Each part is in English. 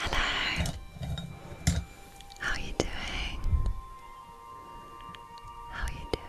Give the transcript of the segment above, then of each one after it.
Hello. How are you doing? How are you doing?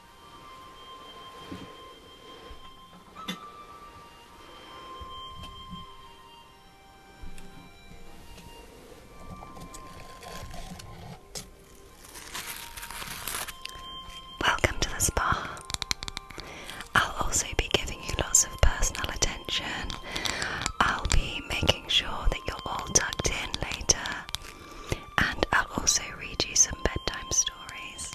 Welcome to the spa. I'll also be giving you lots of personal attention. I'll be making sure that you're all tucked in later, and I'll also read you some bedtime stories.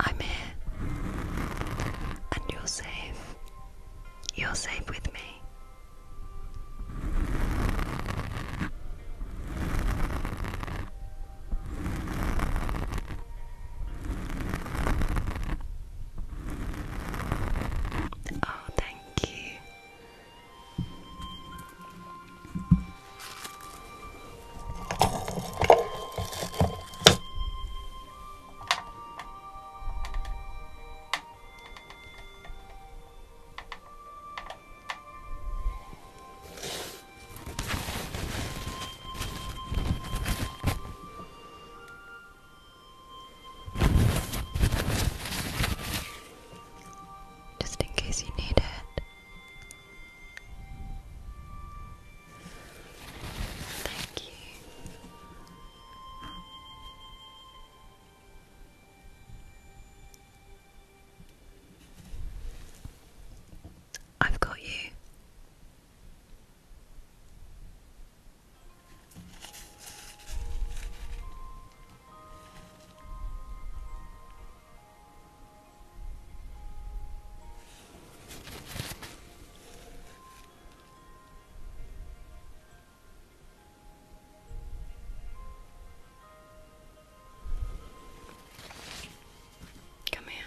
I'm here. And you're safe. You're safe with me. Oh, thank you. Just in case you need it. Thank you. I've got you. Come here.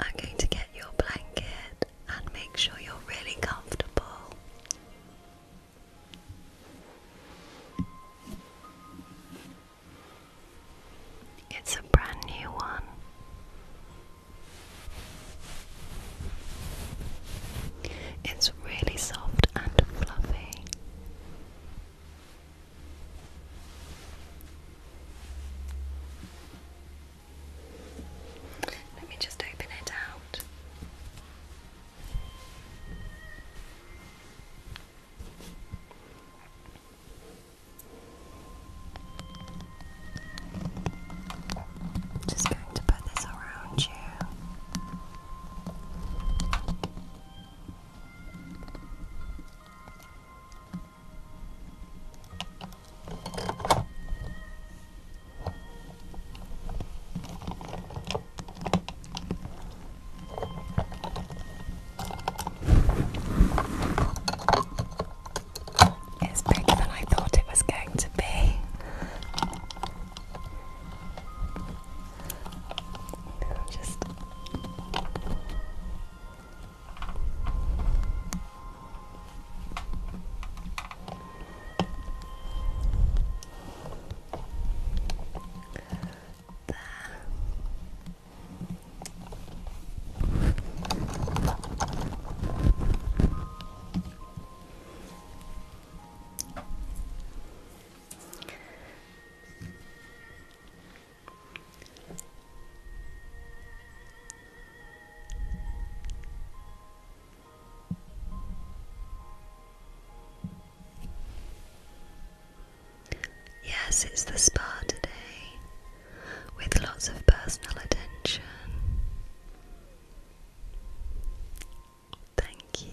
I'm going to get your blanket and make sure you're really comfortable. It's a brand new one. It's really soft and fluffy. Let me just open it out. Just going to put this around you. It's bigger than I thought it was going to be. Just there. Uh, Yes, it's the spa today with lots of personal attention. Thank you.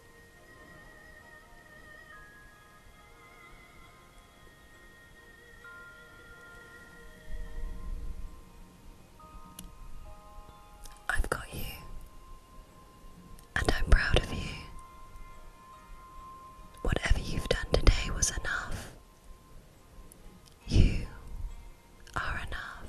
I've got you, and I'm proud of you. Whatever you've done today was enough. You are enough.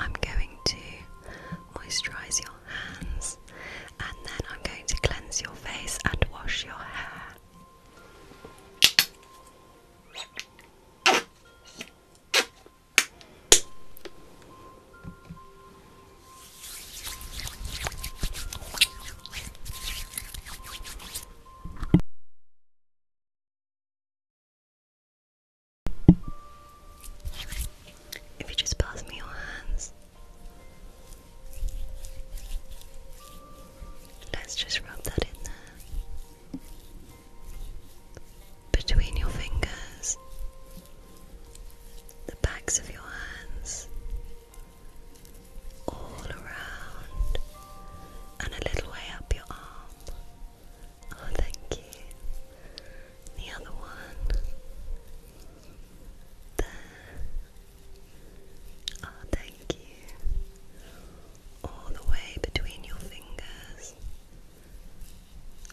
I'm going to moisturize your hands and then I'm going to cleanse your face and wash your hair. If you just pass me your hands, let's just rub that in there between your fingers the backs of your hands, all around, and a little way up your arm. Oh, thank you. The other one. There. Oh, thank you. All the way between your fingers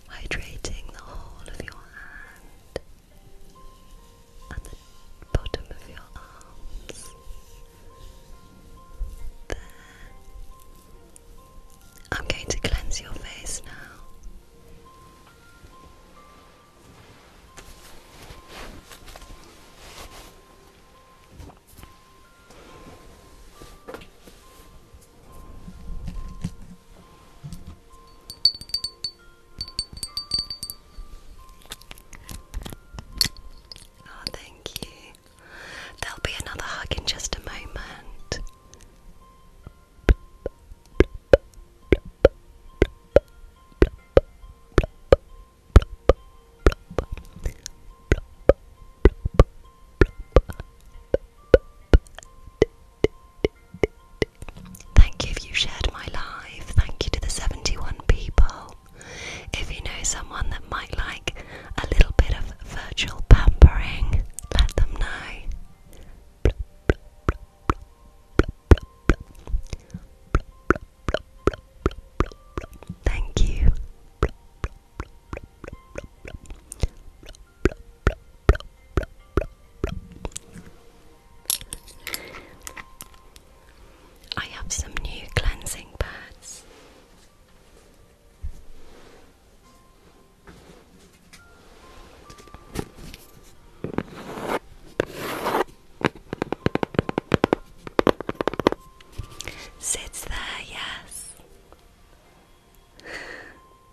hydrating the whole of your hand and the bottom of your arms. There. I'm going to cleanse your face now. Oh, thank you. There'll be another hug in just a moment. Thank you if you shared my life. Thank you to the 71 people. If you know someone that might like a little bit of virtual pampering, let them know. Thank you. I have some new cleansing pads. Sits there, yes.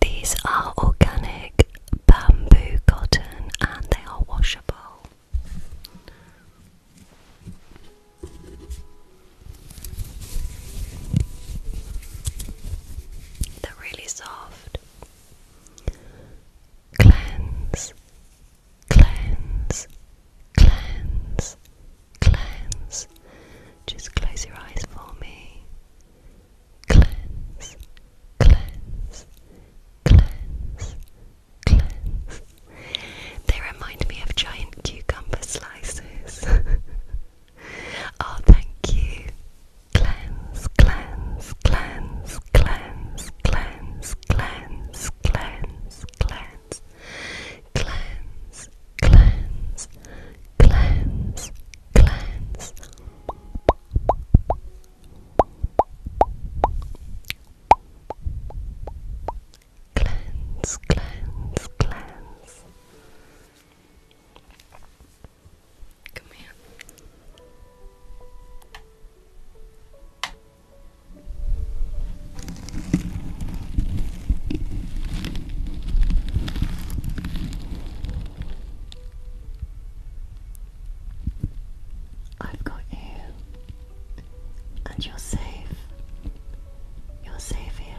These are organic bamboo cotton and they are washable. They're really soft cleanse, cleanse, cleanse, cleanse. Just close your eyes for me. Cleanse, cleanse, cleanse, cleanse. They remind me of giant cucumber slices. oh, thank you. Cleanse, cleanse, cleanse, cleanse, cleanse, cleanse, cleanse, cleanse, cleanse, cleanse, cleanse, cleanse. Cleanse, cleanse, cleanse. Come here. I've got you, and you're safe. You're safe here.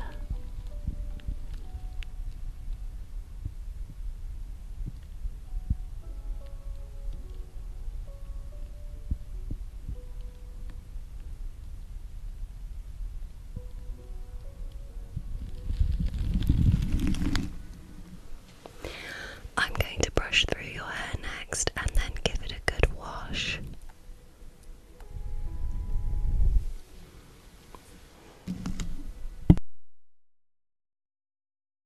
I'm going to brush through your hair next and then give it a good wash.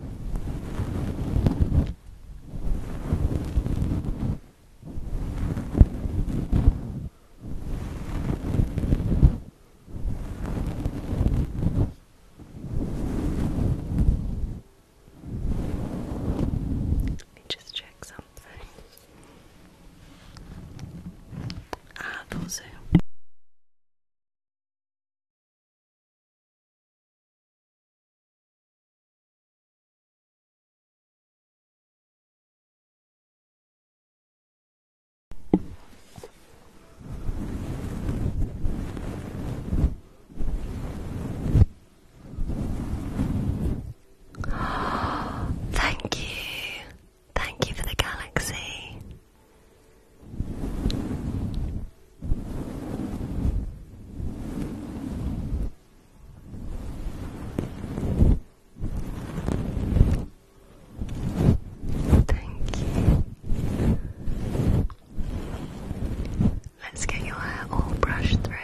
Let me just check something. I've also Thank you. Thank you for the galaxy. Thank you. Let's get your hair all brushed through.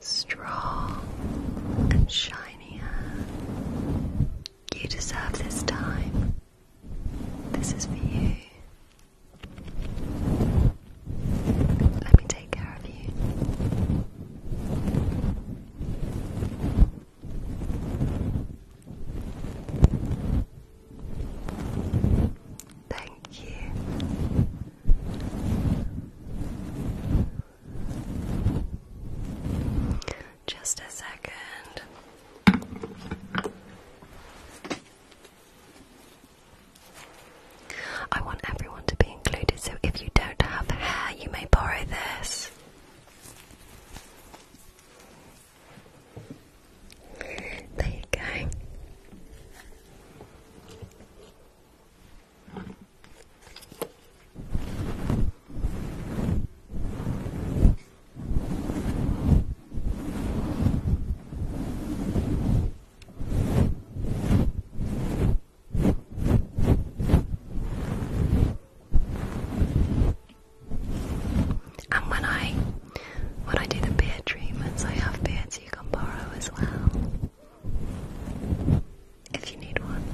Strong and shiny You deserve this time. This is for you. Let me take care of you. Thank you. Just a second. I want everyone to be included, so if you don't have hair, you may borrow this. There you go. And when I when I do the beard treatments, I have beards you can borrow as well. If you need one.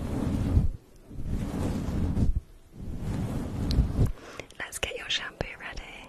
Let's get your shampoo ready.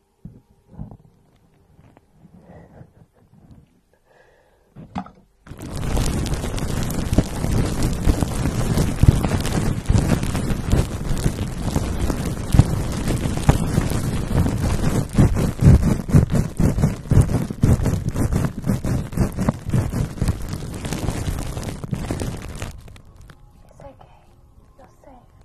It's okay. You're safe.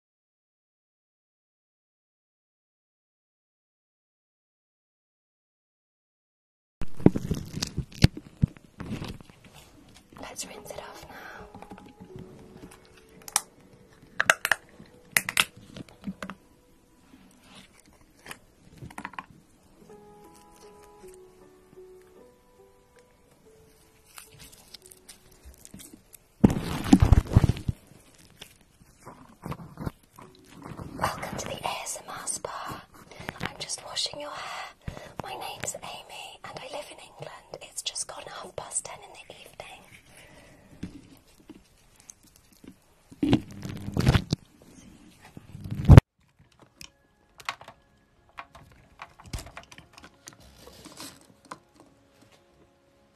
Let's rinse it off now. Welcome to the ASMR spa. I'm just washing your hair. My name's Amy and I live in England. It's just gone half past ten in the evening.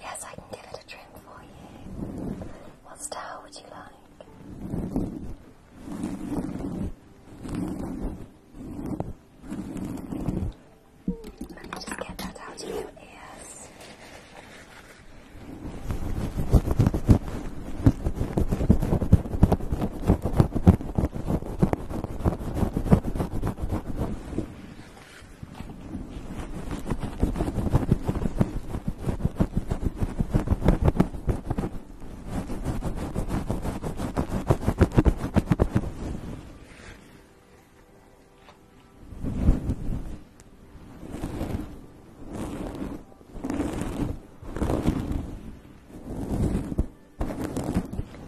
Yes, I can give it a trim for you. What style would you like? Let me just get that out of your ears. Okay.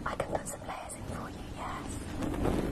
I can put some layers in for you, yes.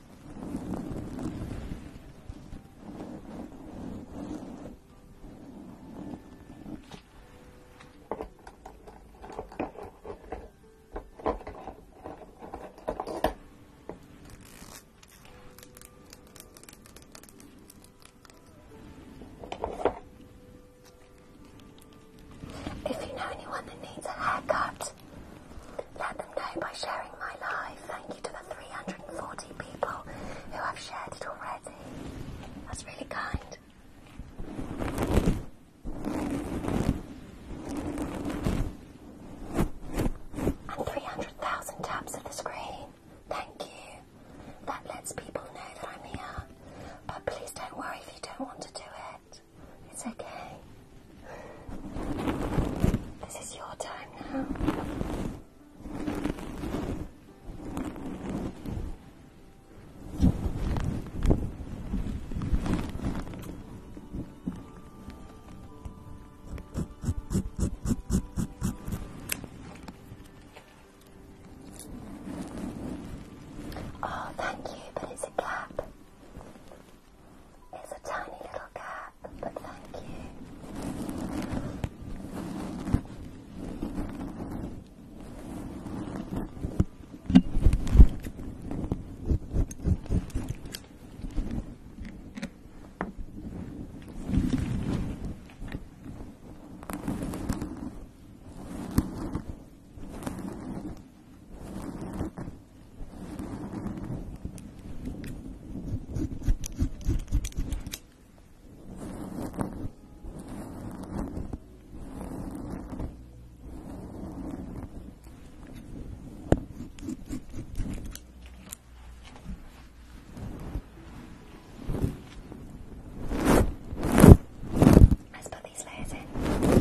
If you know anyone that needs a haircut, let them know by sharing my live. Thank you to the 340 people who have shared it already. That's really kind. And 300,000 taps of the screen. Thank you. That lets people know that I'm here. But please don't worry if you don't want to do it. It's okay. This is your time now. Oh, thank you, but it's a cap. It's a tiny little cap, but thank you. Let's put these layers in.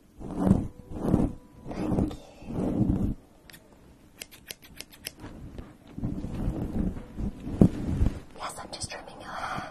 Thank you. Yes, I'm just trimming your hair.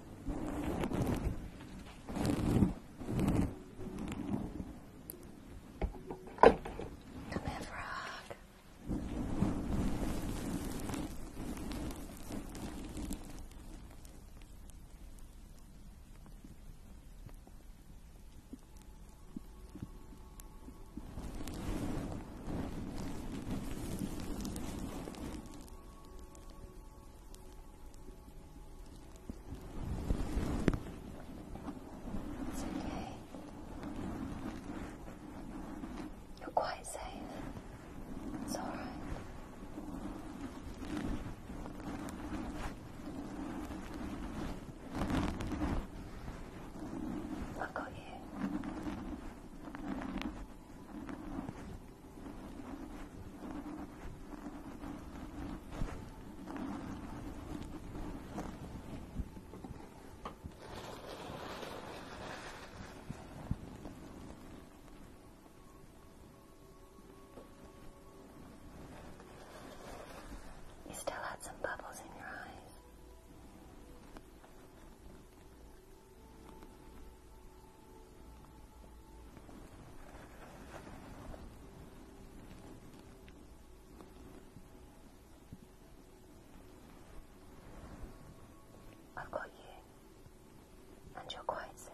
Come here, frog. It's okay. You're quite safe. It's all right. got you. You still had some bubbles in your eyes. I've got you, and you're quite safe.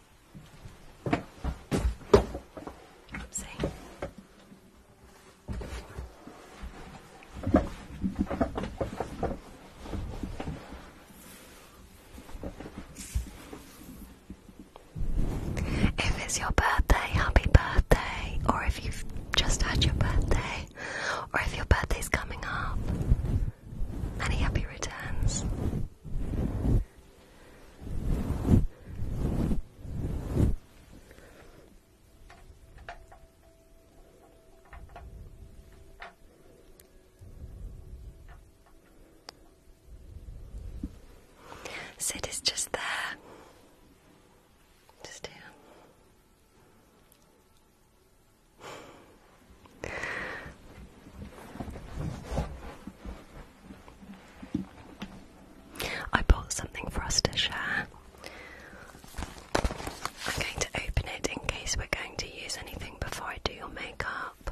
If it's your birthday, happy birthday, or if you've just had your birthday, or if your birthday's coming up, many happy returns. Sid is just there. Just here. I bought something for us to share. I'm going to open it in case we're going to use anything before I do your makeup.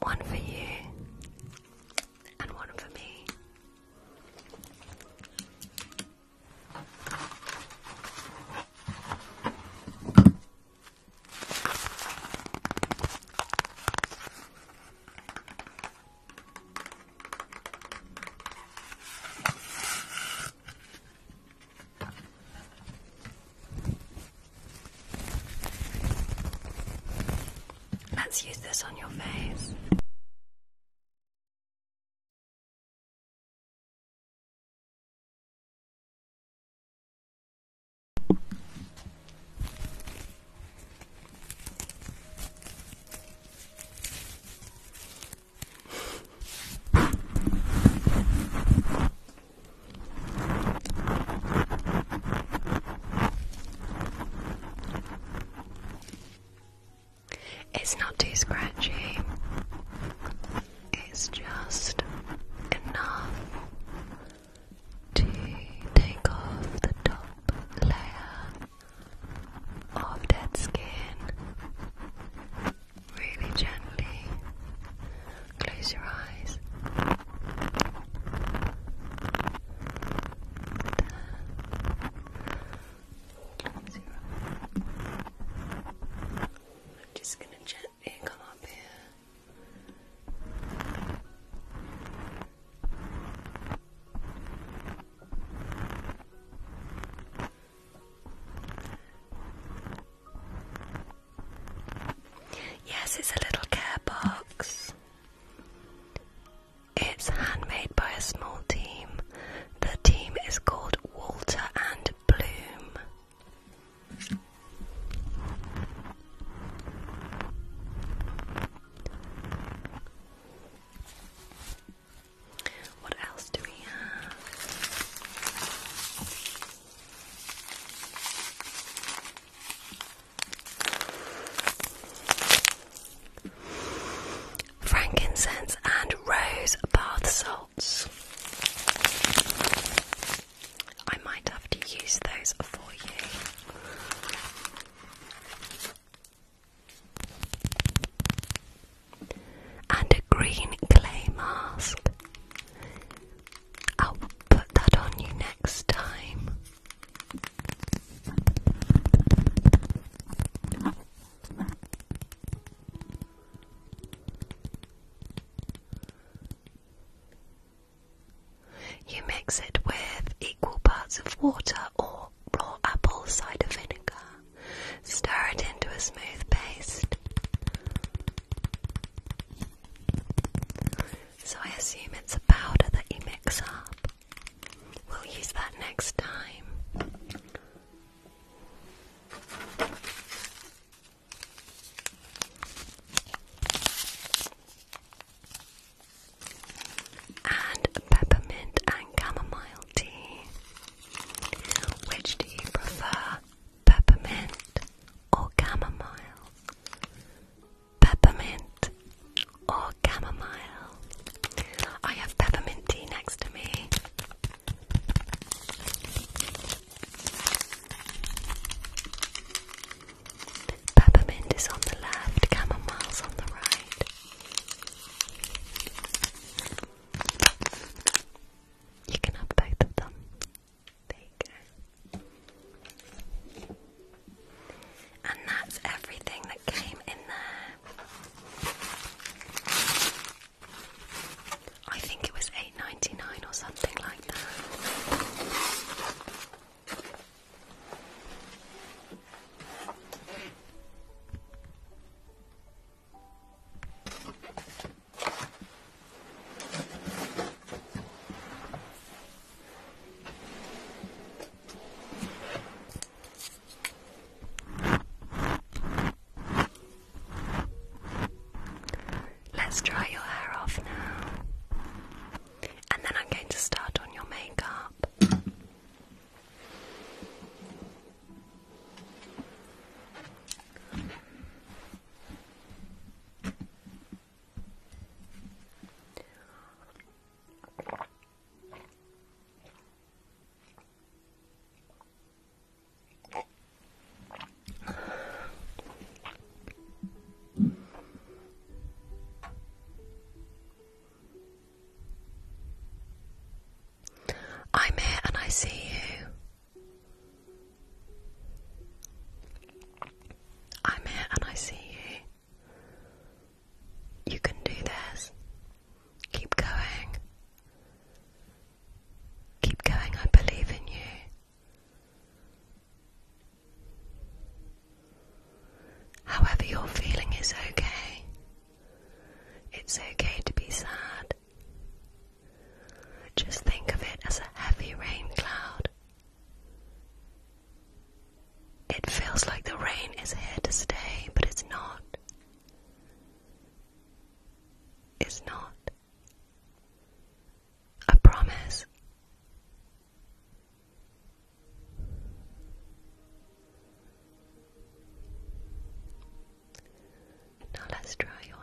One for you and one for me. Let's use this on your face. It's not too scratchy. It's just enough to take off the top layer of dead skin really gently close your eyes. I'm just gonna gently come up here. Yes, it's a little care box. It's handmade by a small team. The team is called Walter and Bloom. What else do we have? Frankincense and rose bath salts. I might have to use those for you. And a green clay mask. I'll put that on you next time. You mix it with equal parts of water or raw apple cider vinegar. Stir it into a smooth paste. So I assume it's a powder that you mix up. We'll use that next time. And peppermint and chamomile tea. Which do you prefer? peppermint or chamomile, peppermint or chamomile. I have peppermint tea next to me. Peppermint is on the left, chamomile's on the right. You can have both of them. And that's everything that came in there. I think it was eight ninety nine or something like that. Let's dry your hair off now. And then I'm going to start on your makeup. I'm here and I see you. I'm here and I see you. You can do this. Keep going. Keep going, I believe in you. However, your feeling is okay. It's okay to be sad. Just think of it as a heavy rain cloud. It feels like the rain is here to stay, but it's not. It's not. I promise. Now let's dry your hair.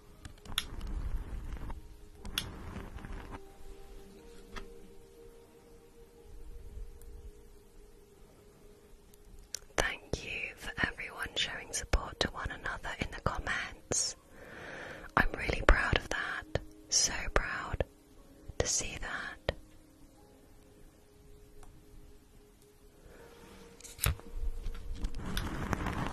Thank you for everyone showing support to one another in the comments. I'm really proud of that. So proud to see that.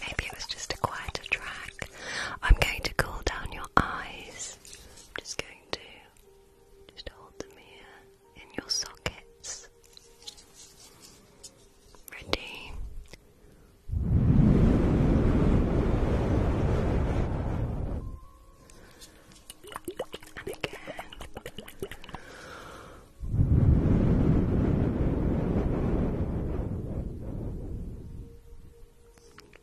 Maybe it was just a quieter track. I'm going to cool down your eyes. I'm just going to just hold them here in your sockets. Ready? And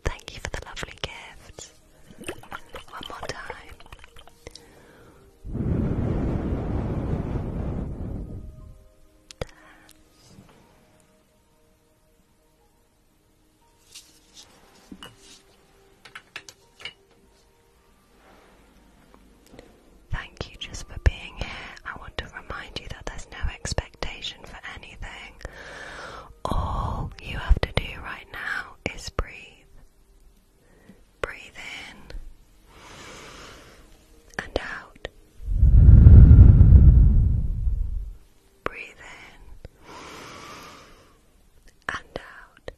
Thank you for the lovely gift. One more time. Thank you just for being here. I want to remind you that there's no expectation expectation for anything. All you have to do right now is breathe. Breathe in and out. Breathe in and out.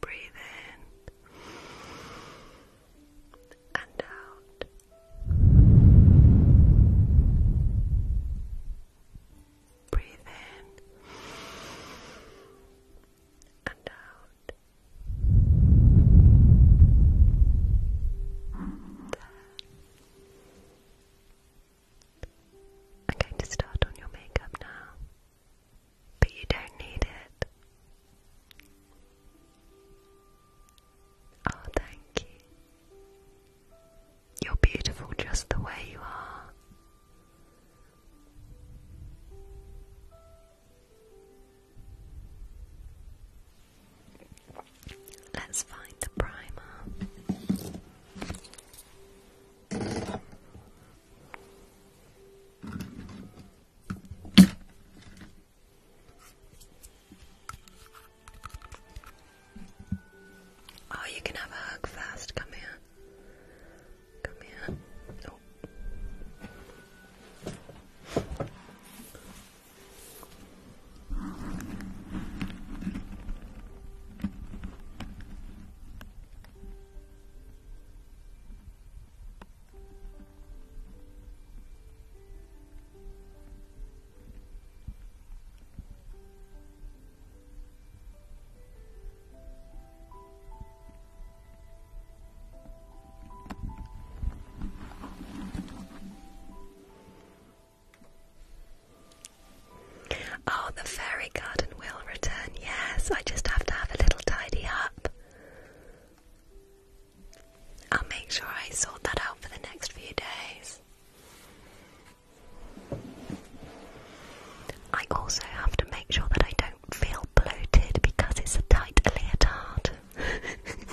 Breathe in and out. Breathe in and out. I'm going to start on your makeup now but you don't need it. Oh, thank you. You're beautiful just the way you are. Let's find the primer. Oh, you can have a hug first. Come here. Come here. Oh. Oh, the fairy garden will return. Yes, I just have to have a little tidy up. I'll make sure I sort that out for the next few days. I also have to make sure that I don't feel bloated because it's a tight leotard.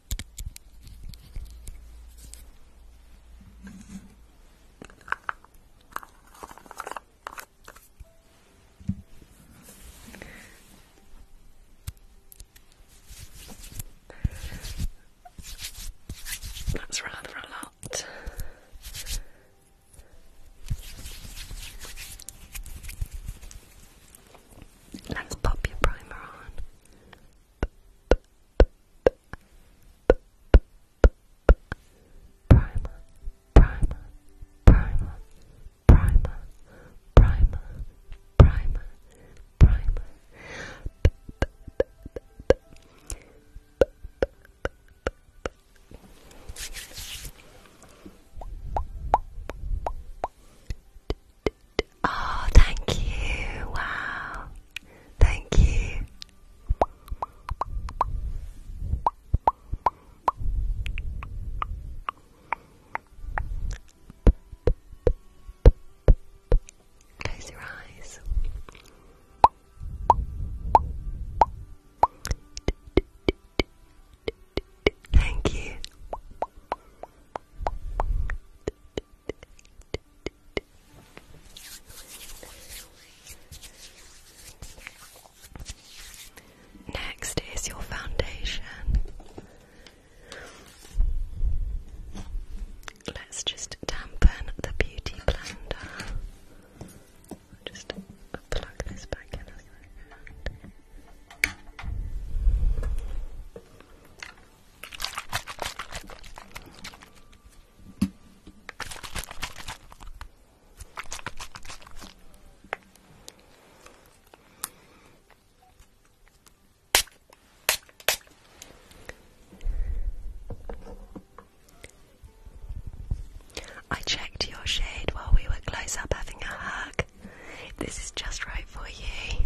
That's rather a lot. Let's pop your primer on. Primer, primer, primer, primer, primer, primer, primer. Oh, thank you. Wow. Thank you. Close your eyes. Thank you. Next is your foundation. Let's just dampen the beauty blender. Just plug this back in I checked your shade while we were close up having a hug. This is just right for you.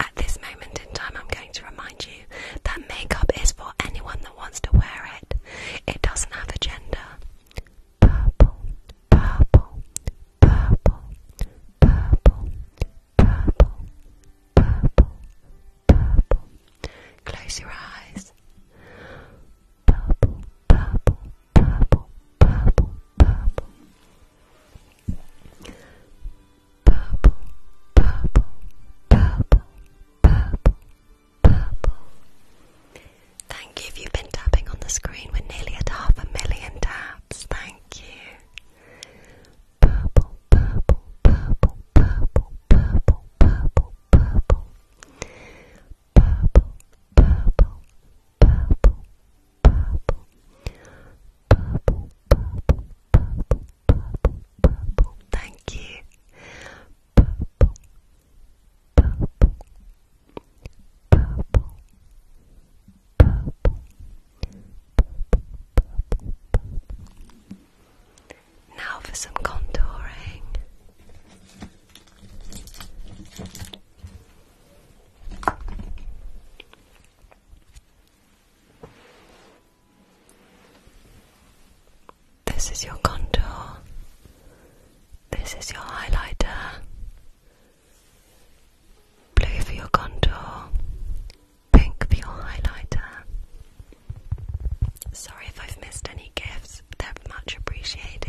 At this moment in time, I'm going to remind you that makeup is for anyone that wants to wear it. It doesn't have a gender. Purple, purple, purple, purple, purple, purple, purple. Close your eyes. Purple, purple, purple, purple, purple purple, purple, purple, purple, purple. Thank you you've been tapping on the screen. We're nearly at half a million taps. Thank you. Purple, purple, purple, purple, purple, purple, purple. Purple, purple, purple, purple. Thank you. Now for some contouring. This is your contour. This is your highlighter. Blue for your contour. Pink for your highlighter. Sorry if I've missed any gifts, they're much appreciated.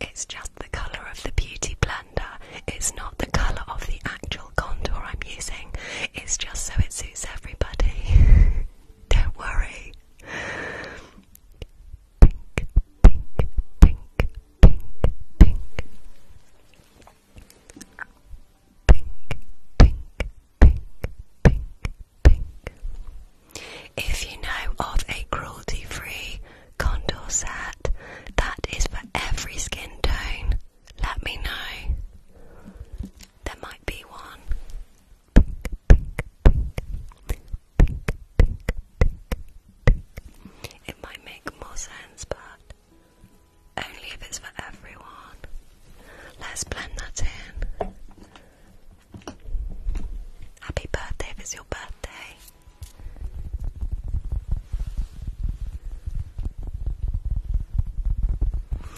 It's just the colour of the beauty blender. It's not the colour of the actual contour I'm using. It's just so it suits everybody. Don't worry. Pink, pink, pink, pink, pink. Pink, pink, pink, pink, pink. If you know of a cruelty free contour set that is for every skin tone, let me know. There might be one. Pink, pink, pink. Pink, pink, pink, pink. It might make more sense, but only if it's for everyone. Let's blend that in. Happy birthday if it's your birthday.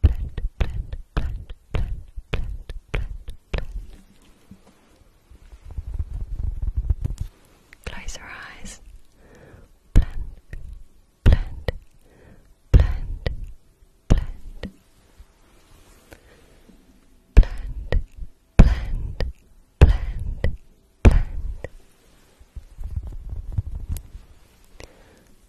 blend, blend, blend, blend, blend, blend, blend. Close your eyes. Blend, blend, blend, blend. Blend, blend, blend, blend.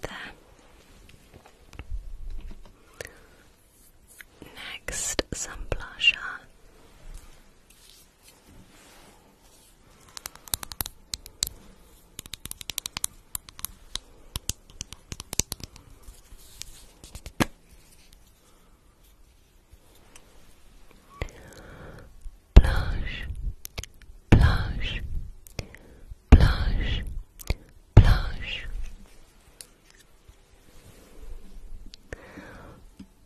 There. Next, some blusher. Blush, blush, blush, blush,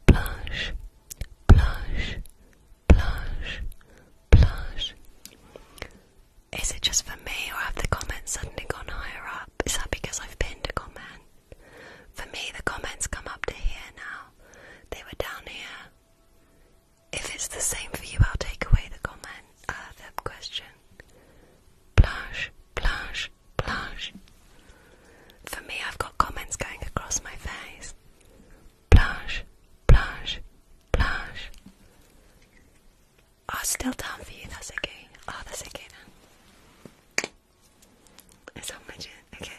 blush, blush, blush, Is it just for me, or have the comments suddenly gone higher up? Is that because I've pinned a comment? For me, the comments come up to here now. They were down here. If it's the same for you, I'll take away the comment, uh, question. Blanche, blanche, blanche. For me, I've got comments going across my face. Blanche, blanche, blanche. Oh, still down for you, that's okay. Oh, that's okay It's on my okay.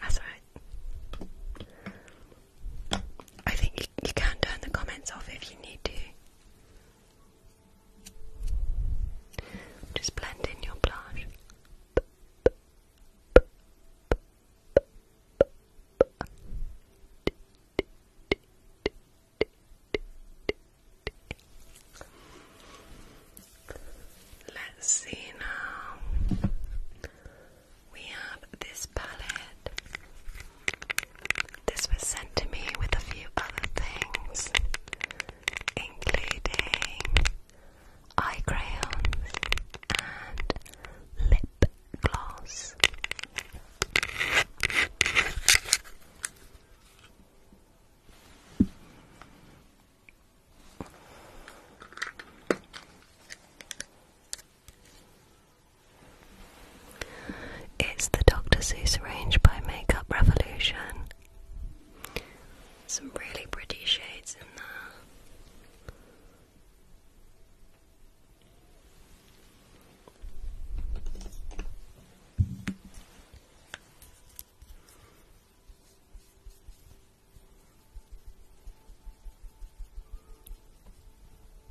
That's alright. I think you, can turn the comments off if you need to. Just blend in your blush. Let's see now. We have this palette. This was sent to me with a few other things, including eye crayons and lip gloss. It's the Dr. Seuss range by Makeup Revolution. Some really pretty shades in there.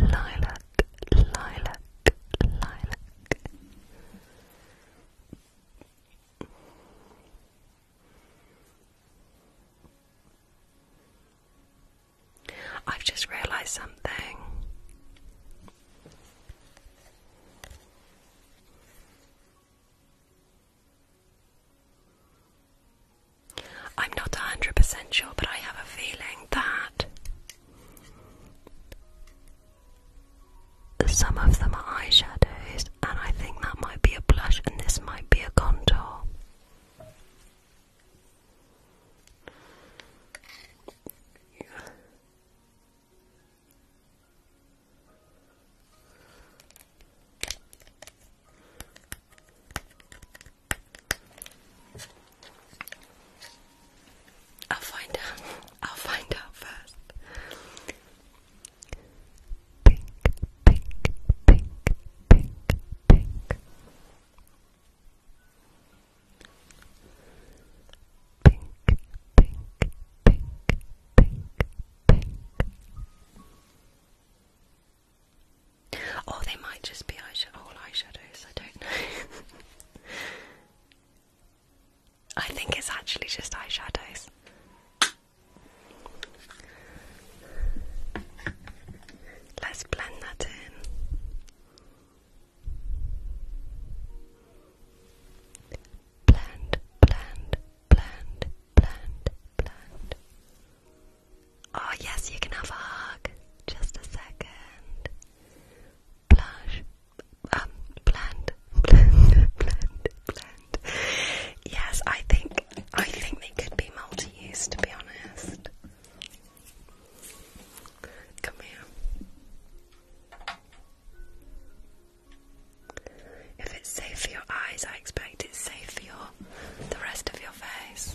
lilac, lilac, lilac. I've just realized something. I'm not a hundred percent sure, but I have a feeling that some of them are eyeshadows, and I think that might be a blush, and this might be a contour. I'll find out. I'll find out first. Pink, pink, pink, pink, pink. Pink, pink, pink, pink, pink. Or they might just be eyeshadow, eyeshadows, I don't know. I think it's actually just eyeshadows. Let's blend that in. Blend, blend, blend, blend, blend. Oh, yes, you can have a hug. Just a second. Blush. Um, blend. Blend. Blend. Blend. Yes, I think I think they could be multi-use to be honest. Come here. If it's safe for your eyes, I expect it's safe for your the rest of your face.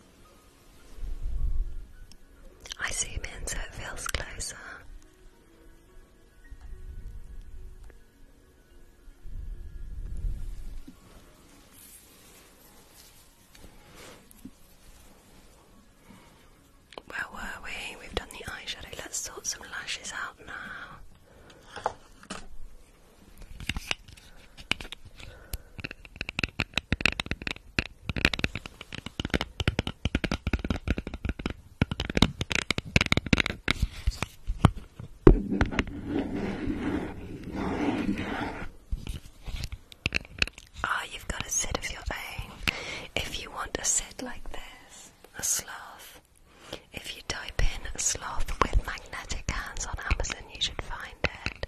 I zoom in so it feels closer. Where were we? We've done the eyeshadow. Let's sort some lashes out now. Ah, you've got a set of your own. If you want a set like this, a sloth. If you type in sloth with magnetic hands on Amazon, you should find it.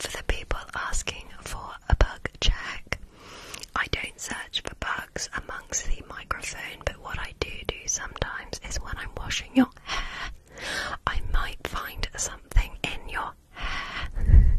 For the people asking for a bug check, I don't search for bugs amongst the microphone, but what I do do sometimes is when I'm washing your hair, I might find something in your hair.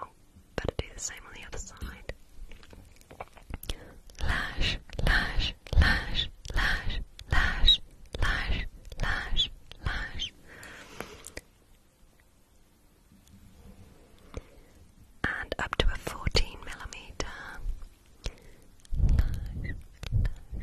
Oh, better do the same on the other side. Lash, lash, lash, lash, lash, lash, lash, lash. And up to a 14 millimeter.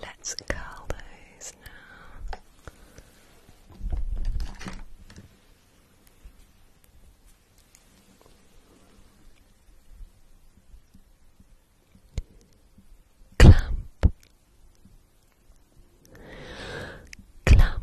Let's curl those now. Clamp, clamp,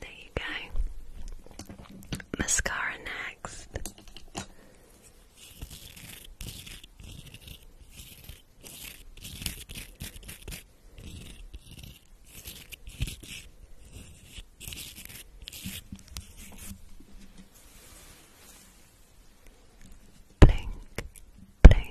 There you go. Mascara next. Blink, blink,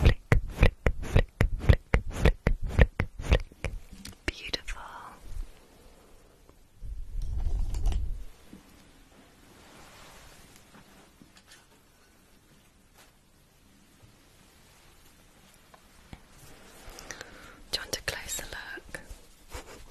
Flick, flick, flick, flick, flick, flick, flick. Beautiful. Do you want a closer look?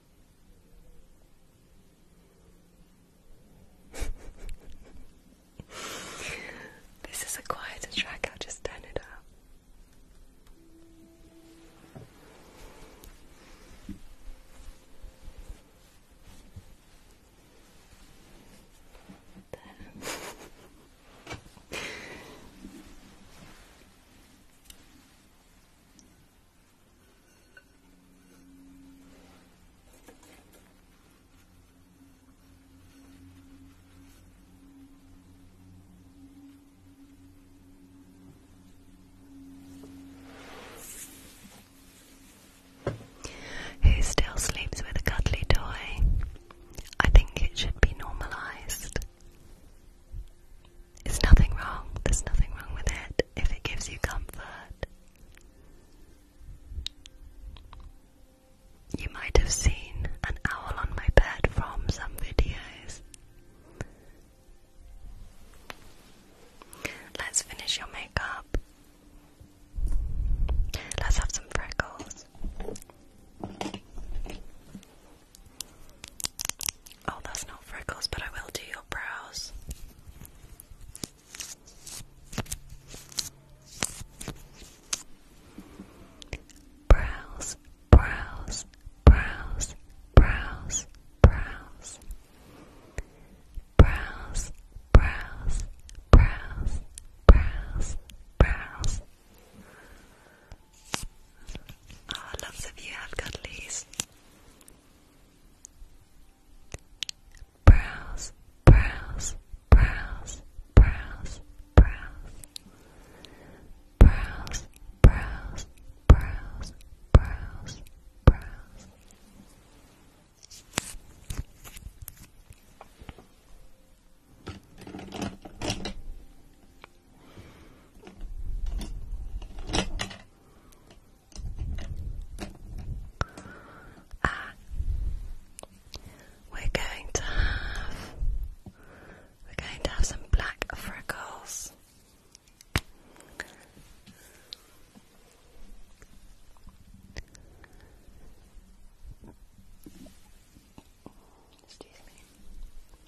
this is a quieter track, I'll just turn it up. Who still sleeps with a cuddly toy? I think it should be normalized. It's nothing wrong. There's nothing wrong with it if it gives you comfort. You might have seen an owl on my bed from some videos. Let's finish your makeup. Let's have some freckles. Oh, that's not freckles, but I will do your brows. Brows, brows, brows, brows, brows. Brows, brows, brows, brows, brows. Ah, lots of you have got leaves. Browse, browse, browse, browse, browse. Browse, browse, browse, browse, browse. Ah, we're going to have we're going to have some black freckles. Excuse me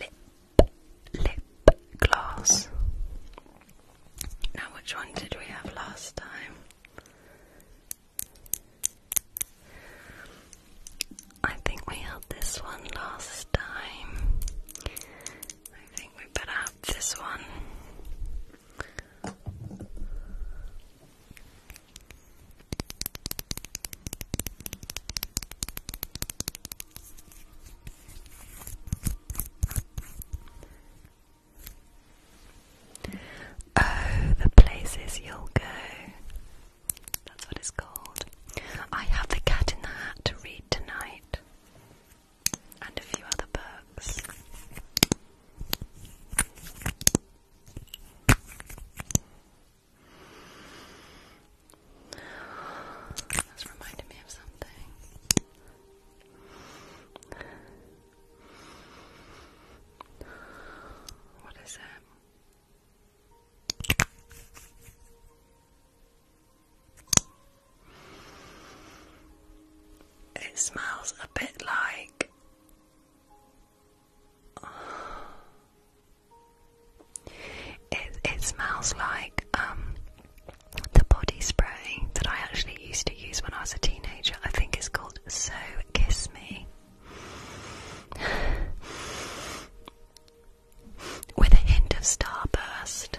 Lip, lip gloss. Now, which one did we have last time? I think we had this one last time. I think we better have this one. Oh, the places you'll go. That's what it's called. I have the cat in the hat to read tonight and a few other books. That's reminded me of something. What is it? It smells a bit like it smells like um, the body spray that I actually used to use when I was a teenager. I think it's called So Kiss Me. With a hint of starburst.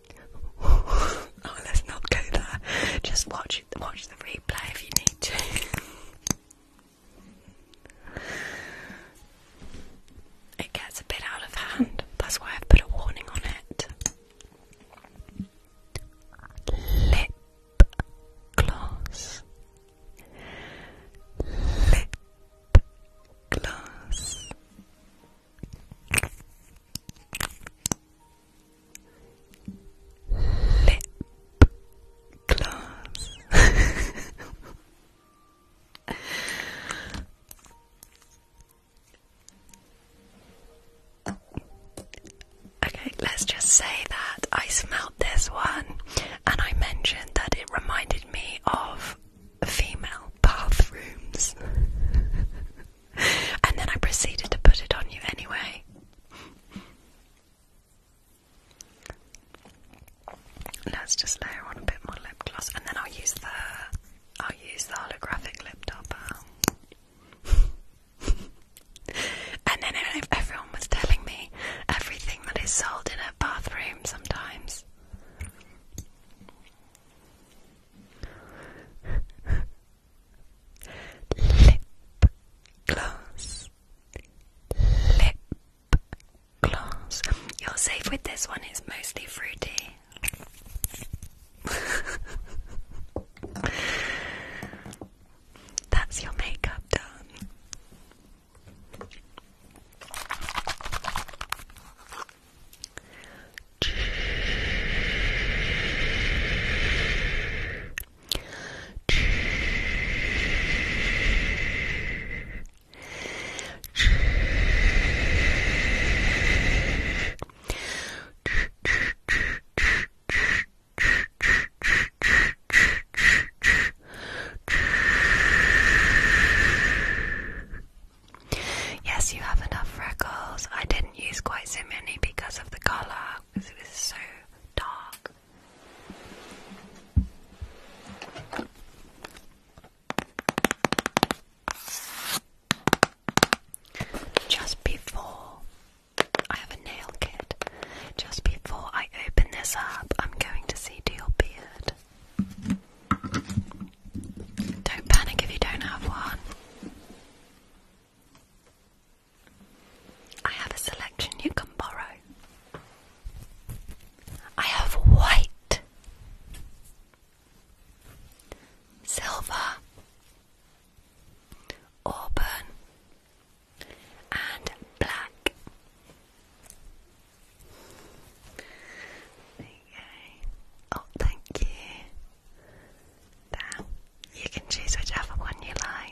oh, let's not go there. Just watch it. watch the replay if you need to. it gets a bit out of hand. That's why I've put a warning on it. Lip gloss. Lip gloss lip gloss. okay, let's just say that I smelled this one and I mentioned that it reminded me of female bathrooms. and then I proceeded to put it on you anyway. Let's just layer on a bit more lip gloss, and then I'll use the I'll use the holographic lip topper. and then everyone was telling me everything that is sold in a bathroom sometimes. lip gloss, lip gloss. You're safe with this one, it's mostly fruity. That's your makeup done. Yes, you have enough freckles. I didn't use quite so many because of the color because it was so dark. Just before I have a nail kit, just before I open this up, I'm going to see to your beard. Don't panic if you don't have one. I have a selection you can borrow. I have white, silver, auburn, and black. Oh, thank you. There, you can choose whichever one you like.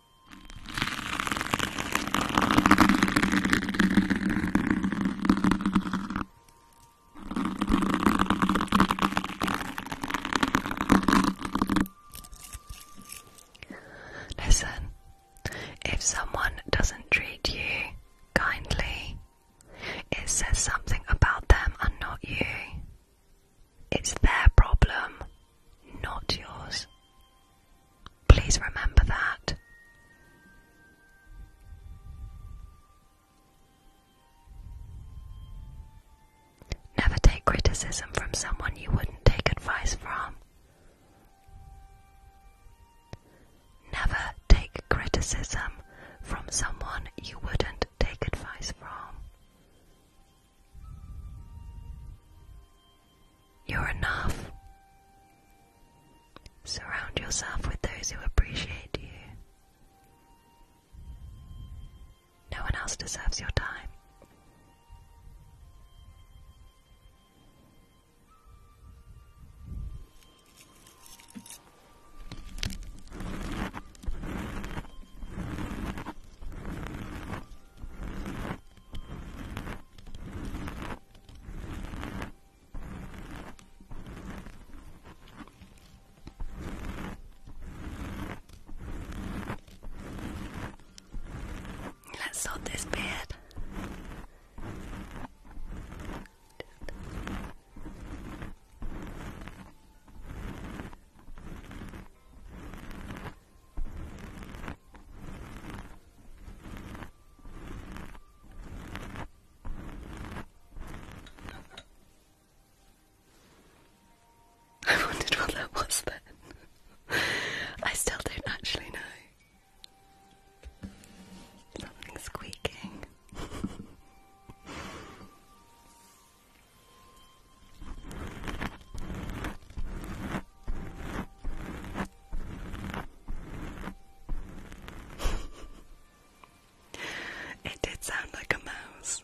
Listen, if someone doesn't treat you kindly, it says something about them and not you. It's their problem, not yours. Please remember that. Never take criticism from someone you wouldn't take advice from. Never take criticism from someone you wouldn't take advice from. You're enough. Surround yourself with those who appreciate you. No one else deserves your time. Let's sort this beard. I wondered what that was then. I still don't actually know. Something squeaking. it did sound like a mouse.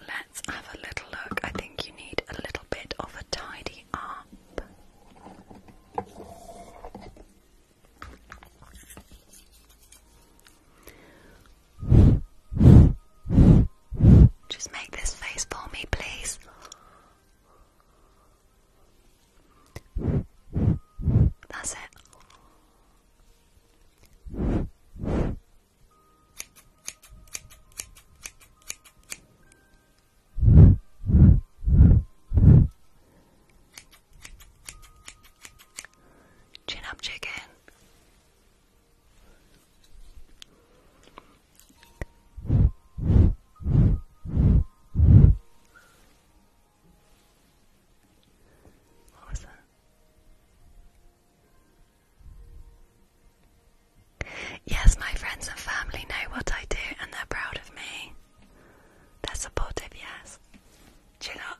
Let's have a little look. I think you need a little bit of a tidy up. Just make this face for me, please. That's it. Chin up, chicken. Yes, my friends and family know what I do and they're proud of me. They're supportive, yes. Chill up.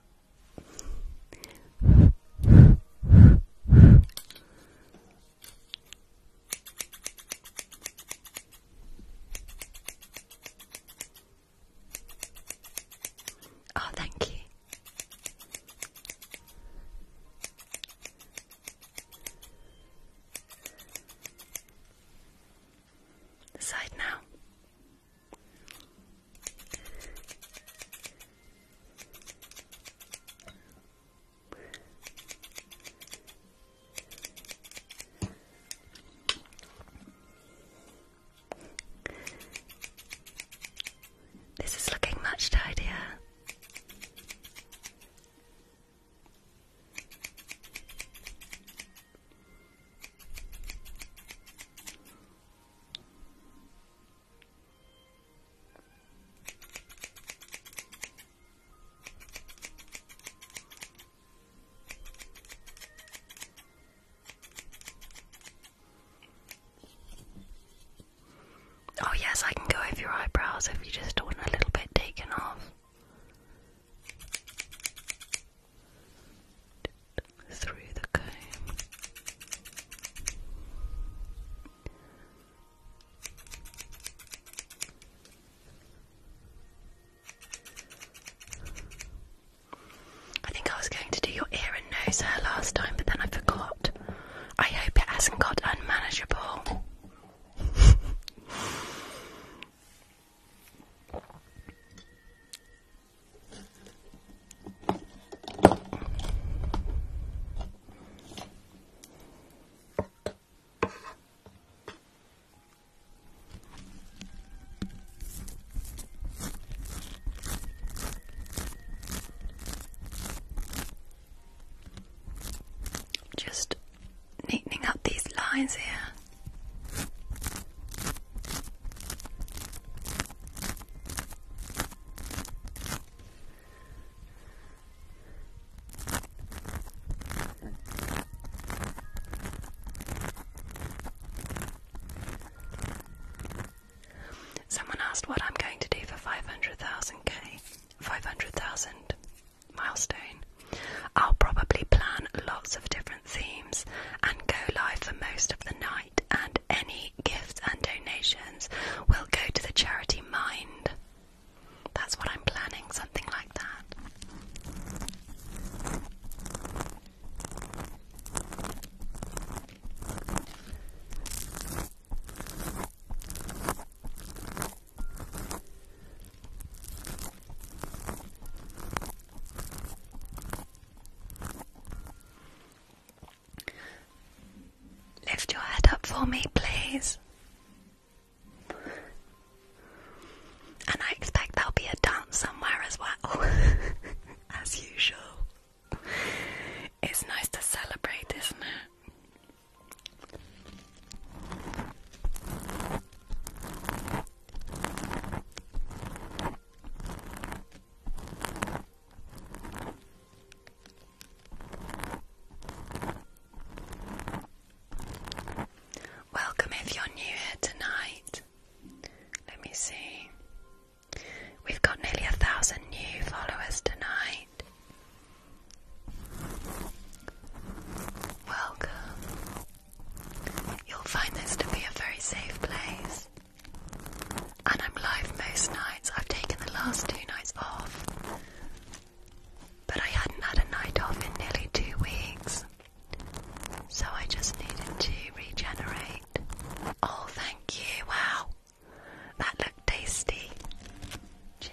Oh, thank you. side now. This is looking much tidier. Oh, yes, I can go over your eyebrows if you just want a little bit taken off. Through the comb. I think I was going to do your ear and nose hair last time, but then I forgot. I hope it hasn't got unmanageable. Just neatening up these lines here. Someone asked what I'm going to do for 500,000k, 500,000 milestone. I'll probably plan lots of different themes and go live for most of the night, and any gifts and donations will go to the charity Mind. That's what I'm planning, something like that. Lift your head up for me, please. And I expect there'll be a dance somewhere as well. as usual. It's nice to celebrate, isn't it? Welcome if you're new here tonight. Let me see. We've got nearly a thousand new followers tonight. Welcome. You'll find this to be a very safe place. And I'm live most nights. I've taken the last two nights off. But I hadn't had a night off in nearly two weeks. So I just needed to regenerate. Oh, thank you. Wow. That looked tasty. Do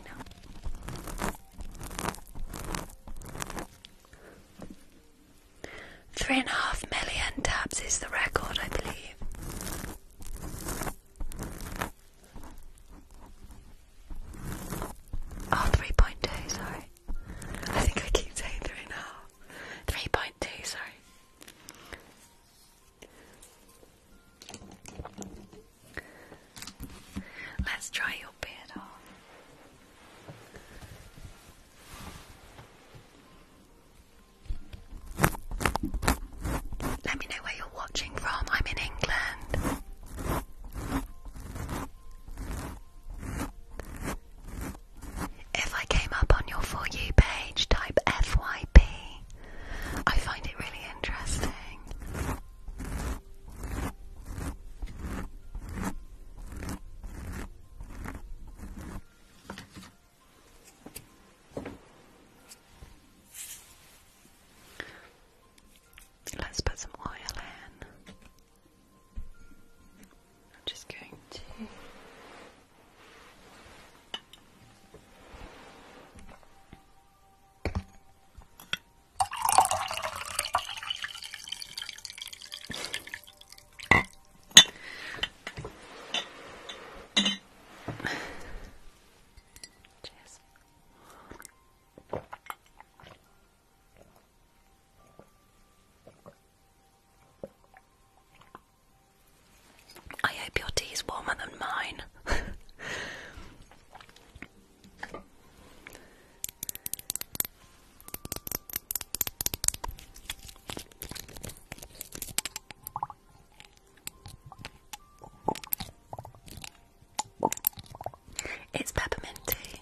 Three and a half million taps is the record, I believe. Oh, three point two. sorry. I think I keep saying three and a half. 3.2, sorry. Let's try your beard on. Let me know where you're watching from. I'm in England. If I came up on your For You page, type FYP. I find it really interesting. Let's put some oil in. I'm just going to Cheers. I hope your tea is warmer than mine. It's peppermint tea.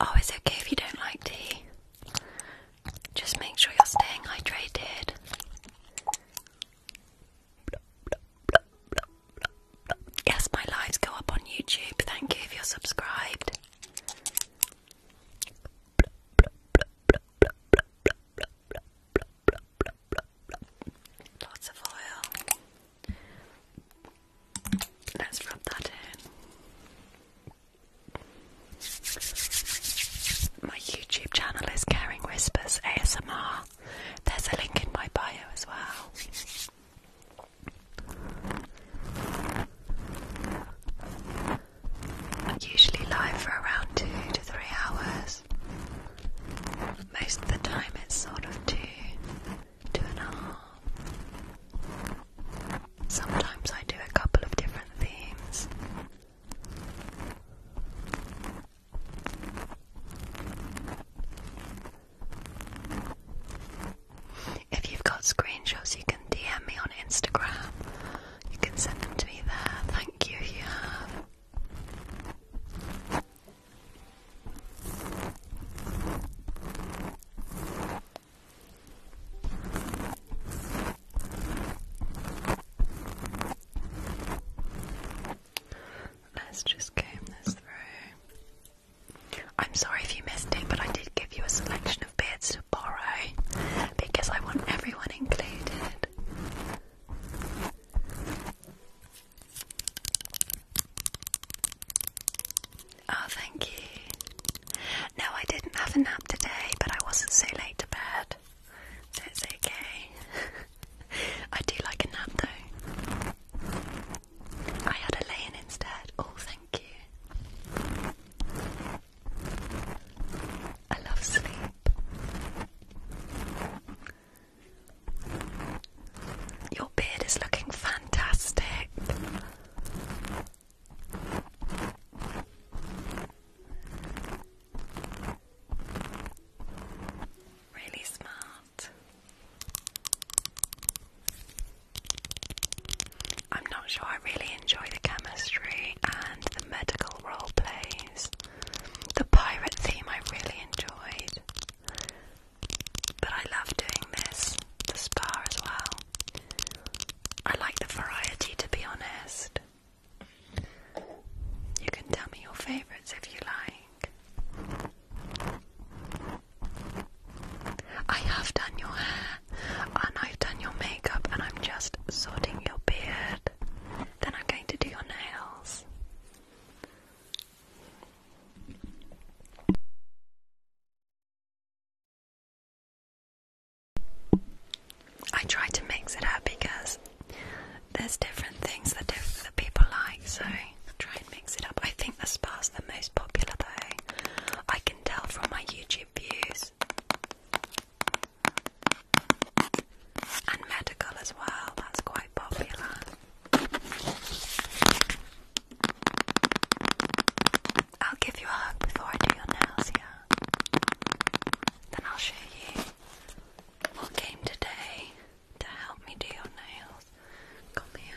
Oh, it's okay if you don't like tea. Just make sure you're staying hydrated. Yes, my lives go up on YouTube. Thank you if you're subscribed. Lots of oil. Let's rub that in. My YouTube channel is Caring Whispers ASMR. There's a link in my bio as well. i usually live for around two to three hours. Most of the time it's sort of two, two and a half. Sometimes I do a couple of different themes. If you've got screenshots, you can DM me on Instagram. You can send them to me there. Thank you if you have. Let's just comb this through. I'm sorry if you missed it, but I did give you a selection of beards to borrow because I want everyone included. Oh, thank you. No, I didn't have a nap today, but I wasn't so late to bed. So it's okay. I do like a nap though. I had a lay in instead. Oh, thank you. I love sleep. Your beard is looking fantastic. Really smart. I'm not sure I really enjoy the chemistry and the medical role plays. The pirate theme I really enjoyed. But I love doing this, the spa as well. I like the variety to be honest. You can tell me your favourites if you like. I have done your hair and I've done your makeup and I'm just sorting your beard. Then I'm going to do your nails. I try to mix it up because there's different things that, people like, so try and mix it up. I think the spa's the most popular though. I can tell from my YouTube views. And medical as well, that's quite popular. I'll give you a hug before I do your nails, yeah? Then I'll show you what came today to help me do your nails. Come here.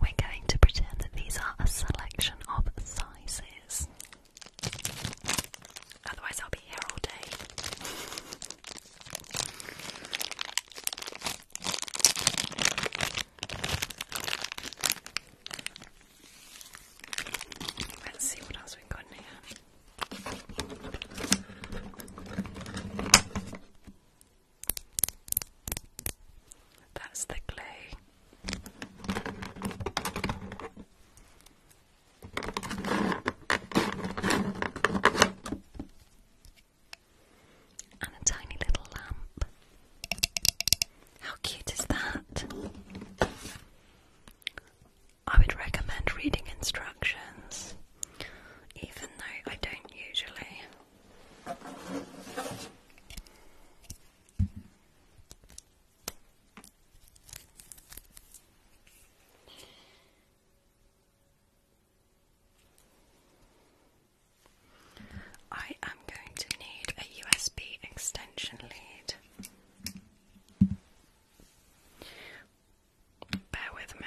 We're going to pretend that these are a selection of sizes. Otherwise, I'll be here all day. Let's see what else we've got in here. That's the clay. And a tiny little lamp. How cute is that? I would recommend reading instructions, even though I don't usually. I am going to need a USB extension lead. Bear with me.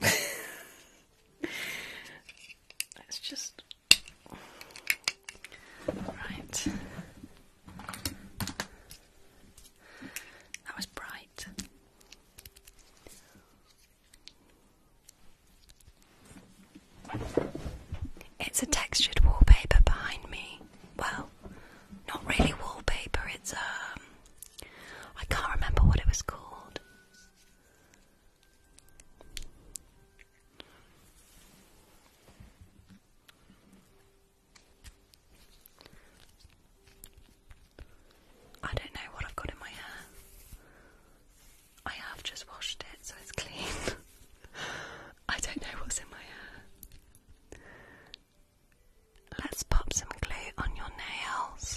Let's just. Right. That was bright. It's a textured wallpaper behind me. Well, not really wallpaper, it's um I can't remember what it was called. I don't know what I've got in my hair. I have just washed it, so it's clean. I don't know what's in my hair. Let's pop some glue on your nails.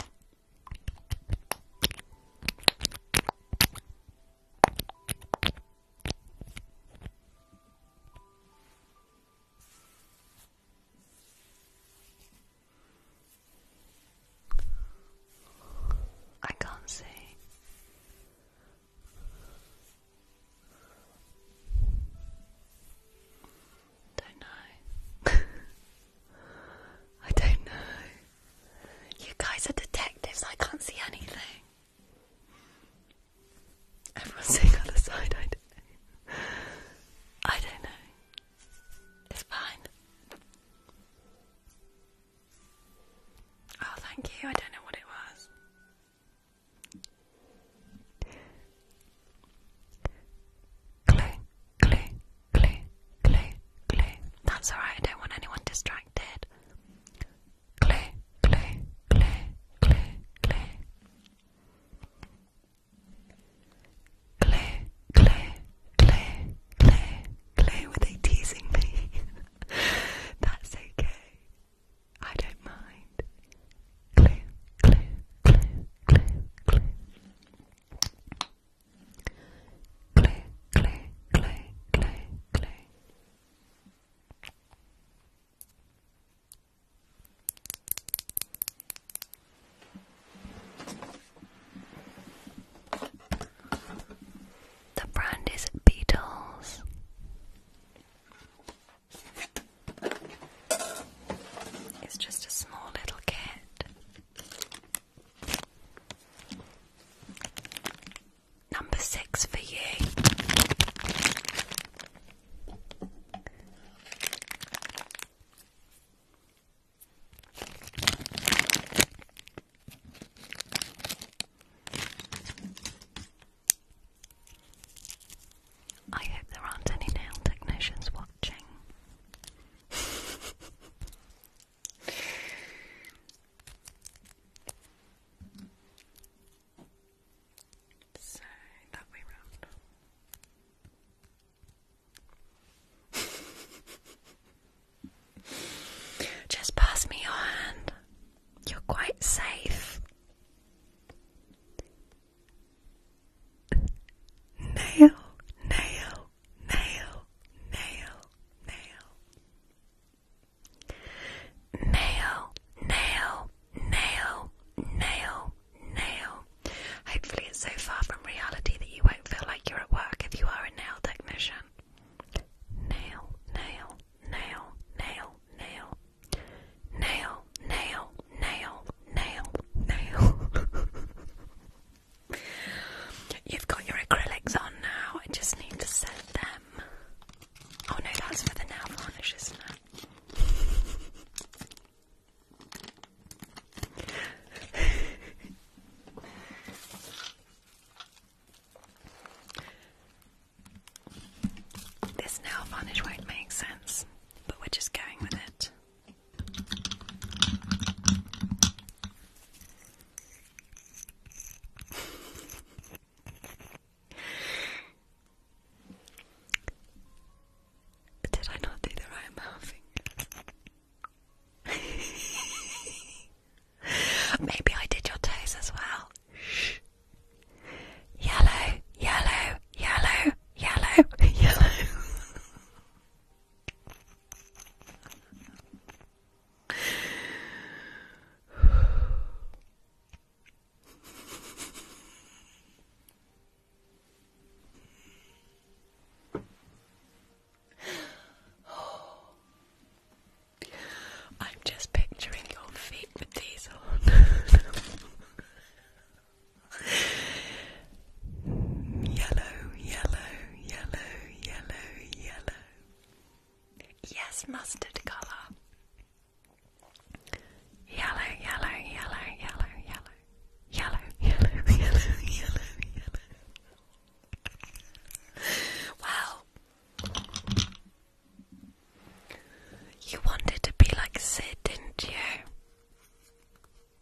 I can't see. Don't know. I don't know. You guys are detectives, I can't see anything. Everyone's saying other side, I don't know. I don't know. It's fine. Oh, thank you. I don't know what it was. Glue, glue, glue, glue, glue. That's alright, I don't want anyone distracted. Glue, glue, glue, glue, glue. Glue, glue, glue, glue, glue. Were they teasing me? That's okay. I don't mind. Glue, glue, glue, glue, glue. Clay, clay, clay, clay, clay. The brand is Beatles. It's just a small little kit. Number six for you. I hope there aren't any nail technicians so that way round. Just pass me your hand. You're quite safe. Nail, nail, nail, nail, nail. Nail, nail, nail, nail, nail. Hopefully, it's so far from reality that you won't feel like you're at work if you are a nail technician. Nail, nail, nail, nail, nail. Nail, nail, nail, nail, nail. You've got your acrylics on now. I just need to set them. Oh no, that's for the nail varnish, isn't it? this nail varnish won't make sense, but we're just going with it. Did I not do the right mouthing? Maybe I did your toes as well. Shh. Yellow, yellow, yellow, yellow, yellow. I'm just picturing your feet with these on. Yellow, yellow, yellow, yellow, yellow. Yes, mustard colour. Yellow, yellow, yellow, yellow, yellow. Yellow, yellow, yellow, yellow, yellow. Wow. You wanted to be like Sid, didn't you?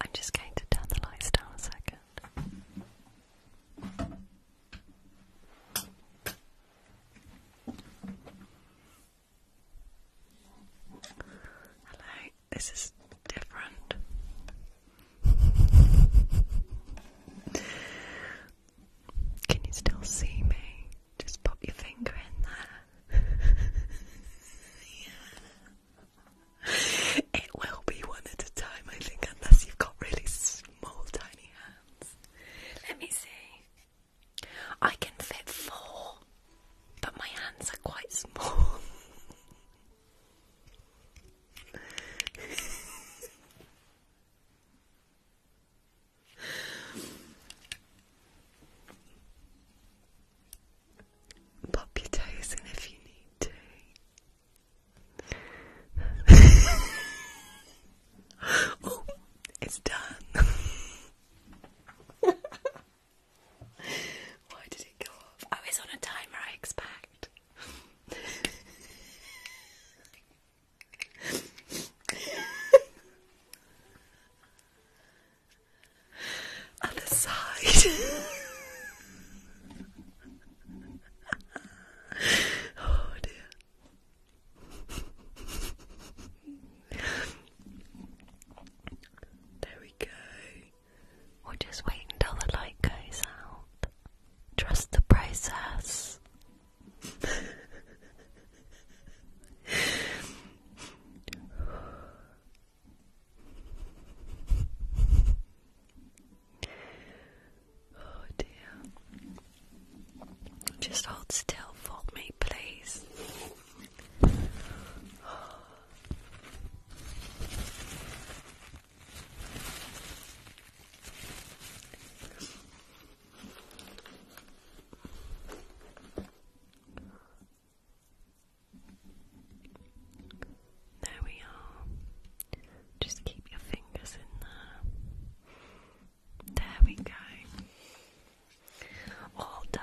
I'm just going to turn the lights down a second. Hello. This is different. Can you still see me? Just pop your finger in there. yeah. It will be one at a time, I think, unless you've got really small, tiny hands. Let me see. I can fit four, but my hands are quite small. Pop your toes in if you need to. oh, it's done. Why did it go off? Oh, it's on a timer, I expect. Other side. oh dear. There we go or just wait until the light goes out. Trust the process. oh dear. Just hold still for me, please. There we are. Just keep your fingers in there. There we go. All done.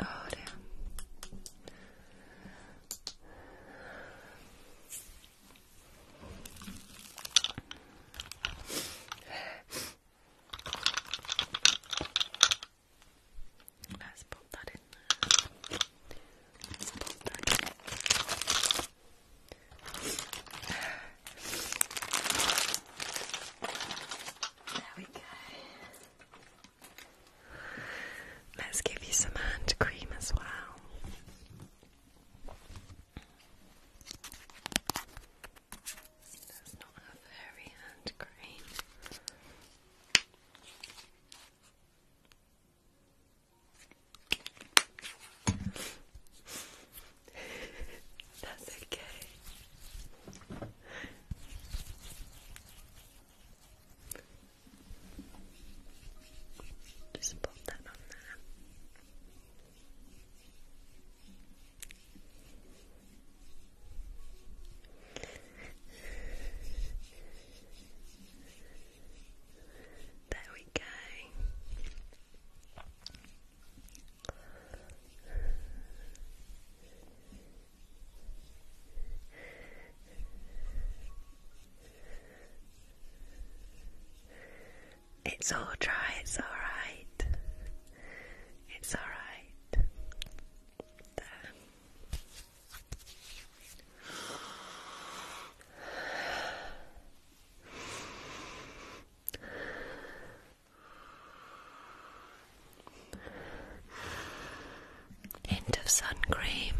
Oh, damn. Let's put that in. There we go. Let's give you some hand cream as well. That's not a very hand cream. That's okay. Just pop that on there. There we go. It's all dry, it's all right. It's all right. End of sun cream.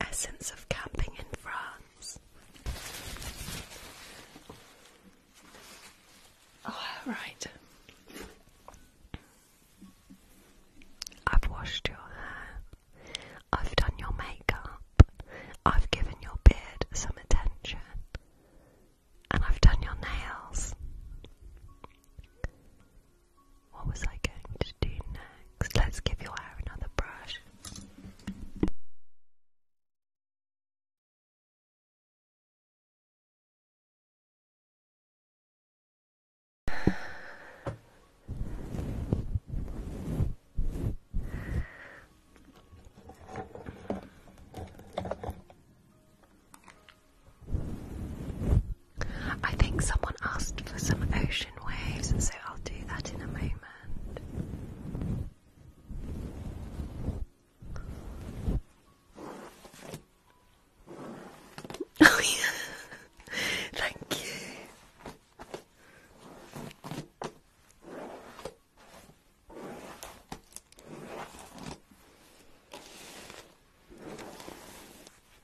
Essence of camping in France. Oh, I've washed your hair. I've done your makeup. I've given your beard some attention. And I've done your nails. What was I going to do next? Let's give your hair another brush. I think someone asked for some ocean waves, and so I'll do that in a moment. Oh, yeah. Thank you.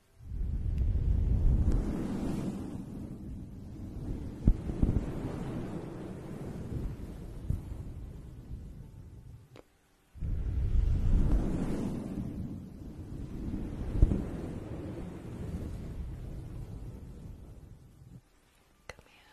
Come here.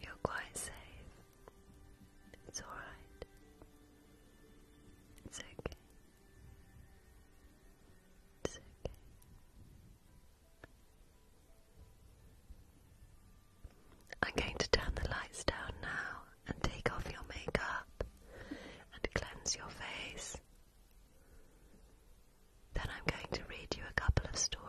You're quite safe. It's all right. It's okay. It's okay. I'm going to turn the lights down now and take off your makeup and cleanse your face. Then I'm going to read you a couple of stories.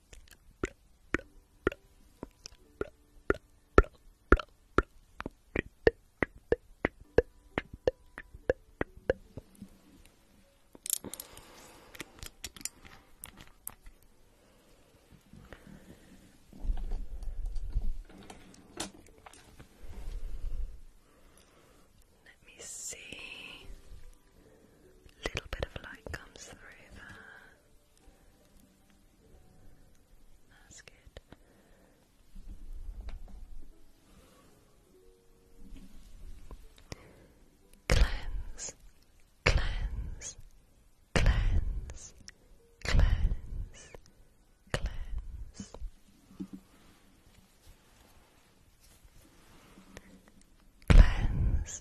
Let me see. A little bit of light comes through there. That's good. Cleanse, cleanse, cleanse, cleanse, cleanse. Cleanse,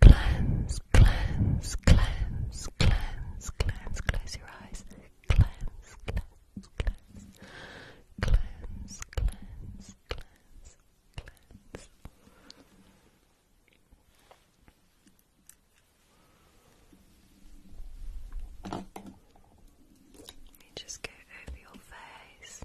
Cleanse, cleanse, cleanse, cleanse, cleanse, close your eyes. Cleanse, cleanse, cleanse. Cleanse, cleanse, cleanse, cleanse. Let me just go over your face.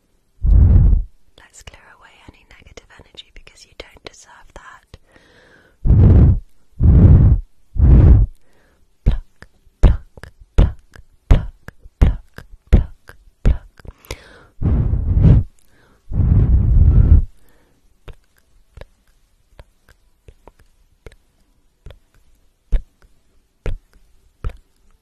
Let's clear away any negative energy because you don't deserve that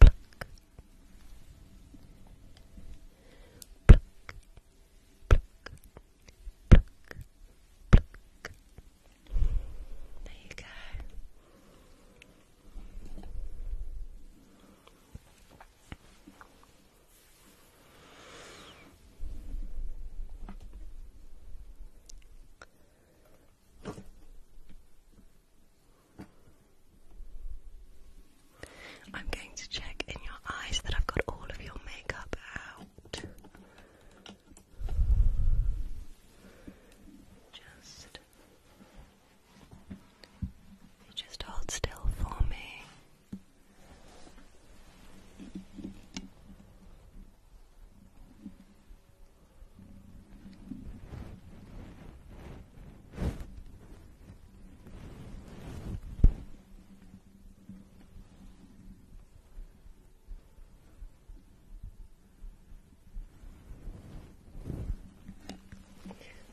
Pluck. Pluck. Pluck. Pluck. Pluck. There you go. I'm going to check in your eyes that I've got all of your makeup out. Just, just hold still for me.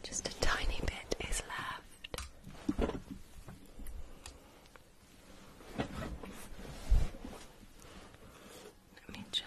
Just a tiny bit is left. Let me just.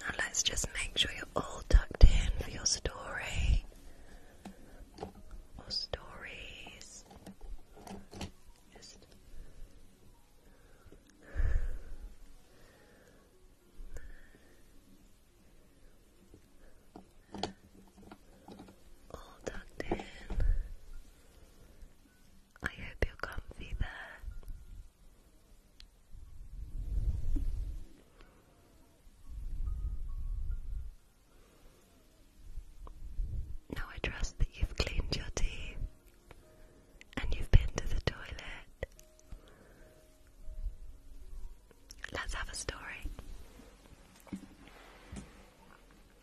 Now let's just make sure you're all tucked in for your story or stories all tucked in. I hope you're comfy there. Now I trust that you've cleaned your teeth and you've been to the toilet. Let's have a story.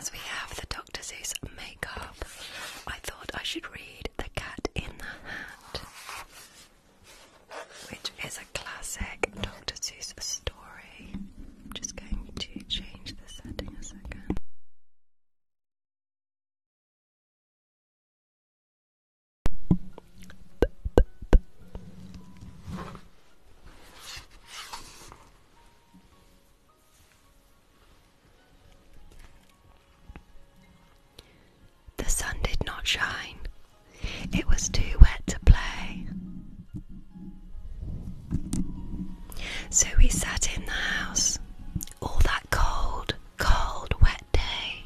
as we have the Dr. Seuss makeup, I thought I should read The Cat in the Hat, which is a classic Dr. Seuss story. just going to change the setting a second. The sun did not shine. It was too wet to play. So we sat in the house all that cold, cold, wet day.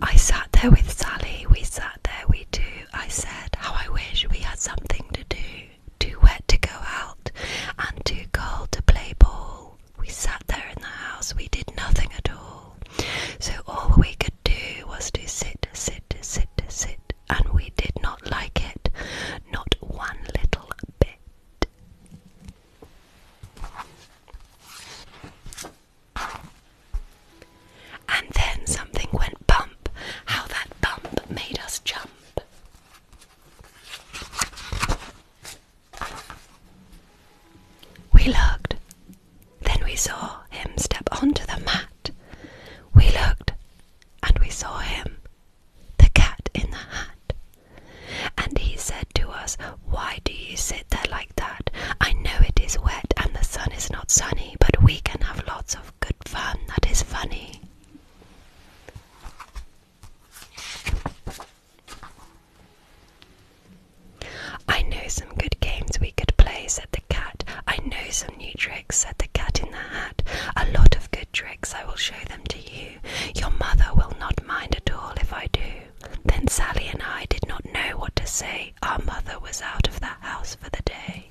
I sat there with Sally, we sat there, we two. I said, How I wish we had something to do. Too wet to go out and too cold to play ball. We sat there in the house, we did nothing at all. So all we could do was to sit, sit, sit, sit, and we did not like it, not one little bit. And then something went bump. How that bump made us jump. We looked. Then we saw him step onto the mat. We looked and we saw him, the cat in the hat. And he said to us, Why do you sit there like that? I know it is wet and the sun is not sunny, but we can have lots of good fun that is funny. I know some good games we could play, said the cat. I know some new tricks said the cat in the hat. A lot of good tricks. I will show them to you. Your mother will not mind at all if I do. Then Sally and I did not know what to say. Our mother was out of the house for the day.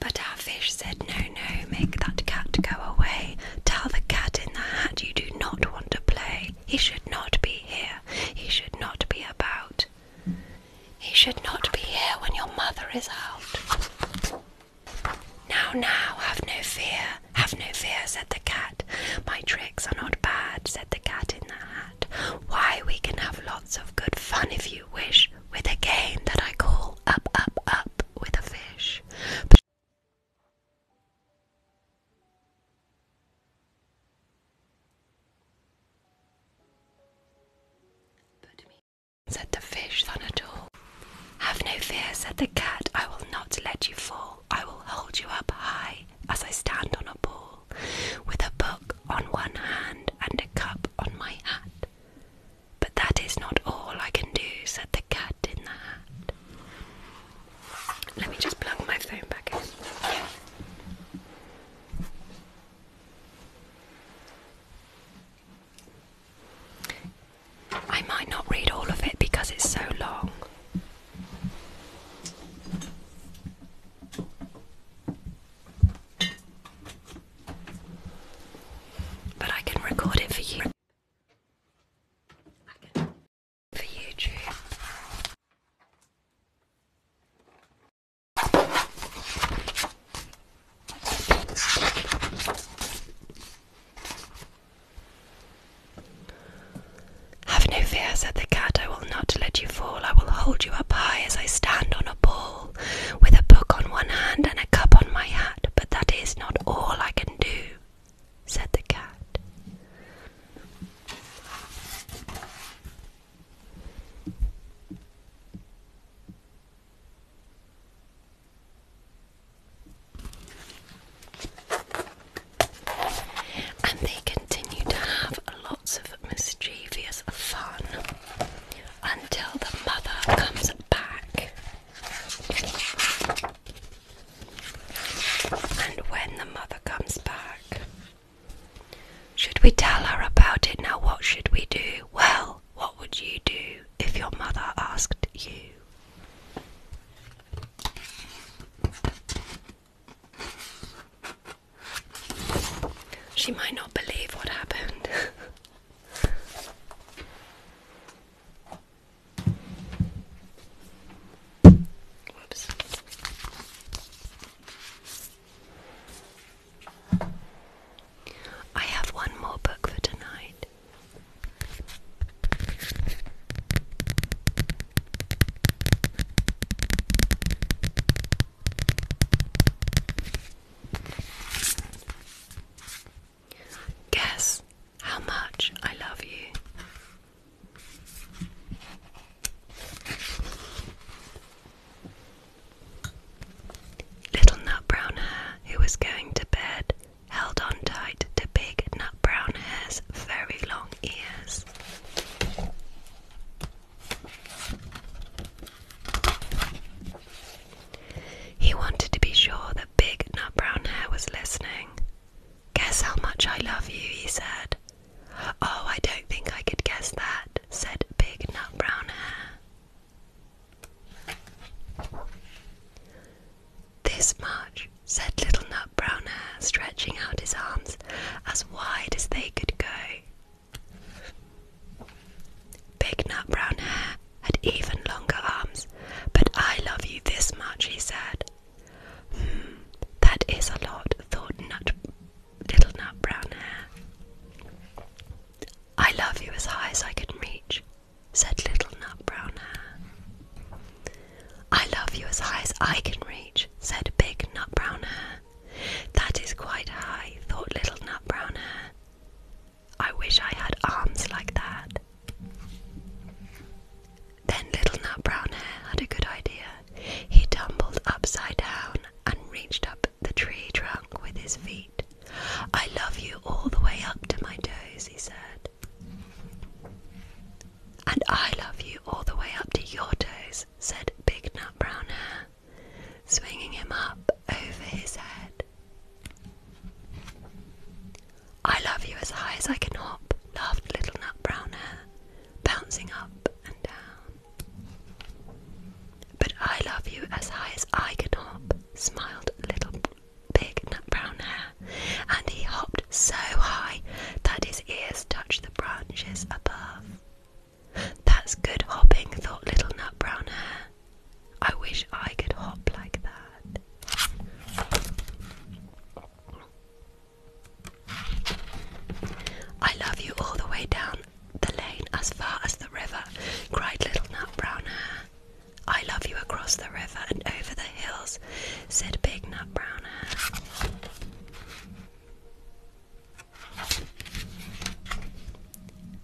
But our fish said, No, no, make that cat go away. Tell the cat in the hat you do not want to play. He should not be here. He should not be about. He should not be here when your mother is out. Now, now, have no fear, have no fear, said the cat. My tricks are not bad, said the cat in the hat. Why, we can have lots of good fun if you wish, with a game that I call Up, Up, Up with a Fish said the fish Thanator. Have no fear, said the cat. I will not let you fall. I will hold you up high as I stand on a ball, with a book on one hand and a cup on my hat. But that is not all I can do, said the cat in the hat. Let me just plug my phone back in. I might not read all of it because it's so long. But I can record it for you. for YouTube. Have no fear, said the cat. I will not let you fall. I will hold you up high as I stand on a ball, with a book on one hand and a cup on my hat. But that is not all I can do, said the cat. And they continue to have lots of mischievous fun until the mother comes back. And when the mother comes back, should we tell her about it? Now, what should we do? Well, what would you do if your mother asked you? She might not believe what happened. I have one more book for tonight. Guess how much I love you. Little Nut Brown Hare, who was going to bed, held on tight to Big Nut Brown Hare's very long ears. He wanted to be sure that Big Nut Brown Hare was listening. Guess how much I love you, he said. Oh, I don't think I could guess that, said Big Nut Brown Hair. This much, said Little Nut Brown Hair, stretching out his arms as wide as they could go. Big Nut Brown Hair had even longer arms, but I love you this much, he said. Hmm, that is a lot, thought Nut little nut brown hair. I love you as high as I can reach, said little nut brown hair. I love you as high as I can reach, said big nut brown hair. That is quite high, thought little nut brown hair. I wish I had arms like that. Then little nut brown hair had a good idea. He tumbled upside down and reached up the tree trunk with his feet. I love you all the way up to my toes, he said. And I love you all the way up to your toes, said Big Nut Brown Hair, swinging him up over his head. I love you as high as I can hop, laughed Little Nut Brown Hair, bouncing up and down. But I love you as high as I can hop, smiled little Big Brown Hare, and he hopped so high that his ears touched the branches above. That's good hopping, thought little Nut Brown Hare. I wish I could hop like that. I love you all the way down the lane as far as the river, cried Little Nut Brown Hair. I love you across the river and over the hills, said Big Nut Brown Hair.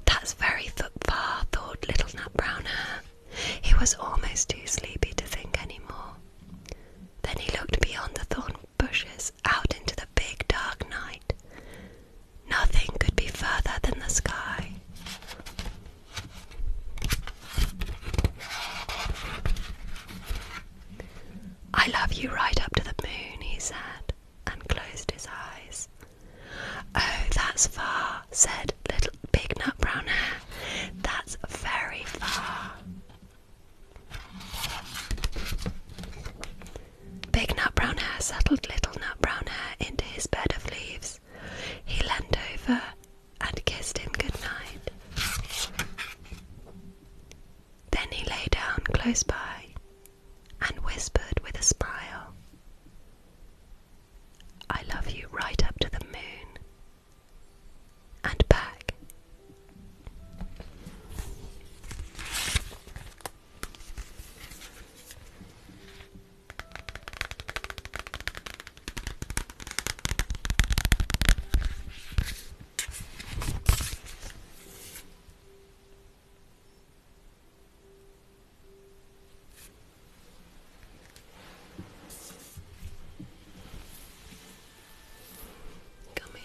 That's very far, thought Little Nut Brown Hair. He was almost too sleepy to think any more. Then he looked beyond the thorn bushes out into the big dark night. Nothing could be further than the sky. I love you right up to the moon, he said, and closed his eyes. Oh, that's far, said little Big Nut Brown That's very far. Big Nut Brown Hair settled Little Nut Brown Hair into his bed of leaves. He leaned over and kissed him good night. Then he lay down close by and whispered with a smile, I love you right up to the moon and back. Come here.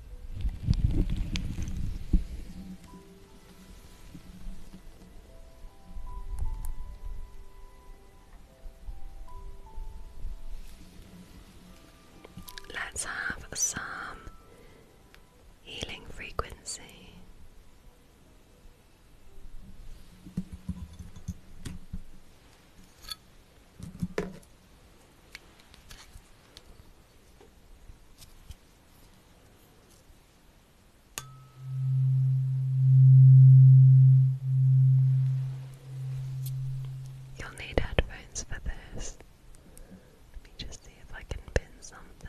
Let's have some healing frequency. You'll need headphones for this. Let me just see if I can pin something.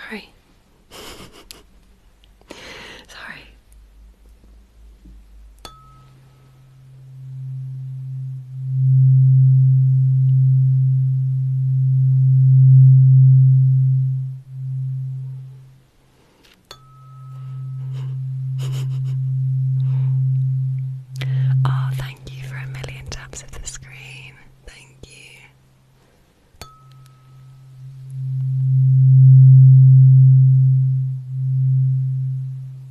Sorry. Sorry oh, thank you for a million taps of the screen. Thank you.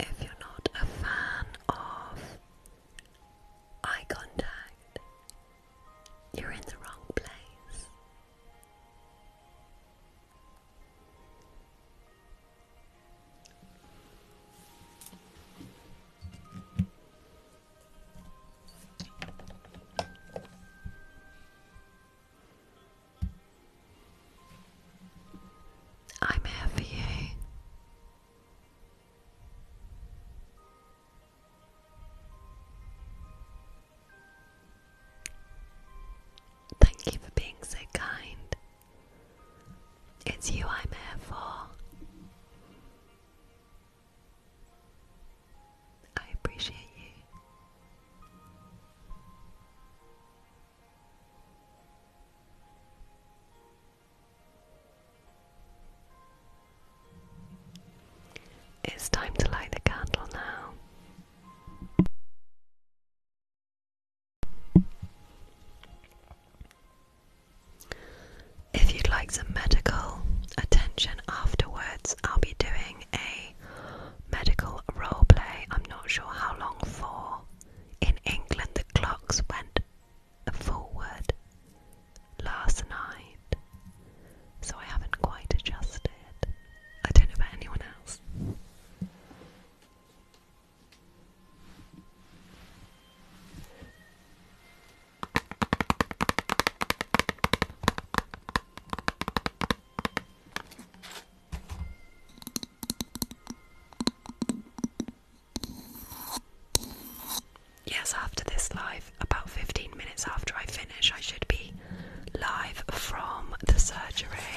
If you're not a fan of eye contact, you're in the wrong place. I'm here for you. Thank you for being so kind. It's you I'm here for. I appreciate you. It's time to light the candle now. If you'd like some medical attention afterwards, I'll be doing a medical role play. I'm not sure how long for. In England, the clocks went forward last night, so I haven't quite adjusted. I don't know about anyone else. Yes, after this live, about 15 minutes after I finish, I should be live from the surgery.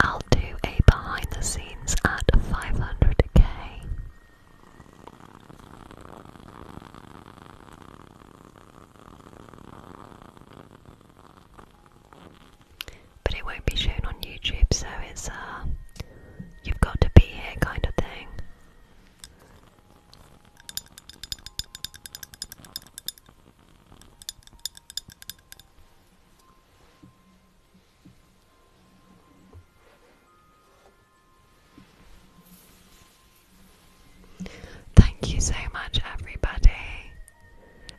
I'll do a behind the scenes at 500k. But it won't be shown on YouTube, so it's a uh, you've got to be here kind of thing. Thank you so much, everybody.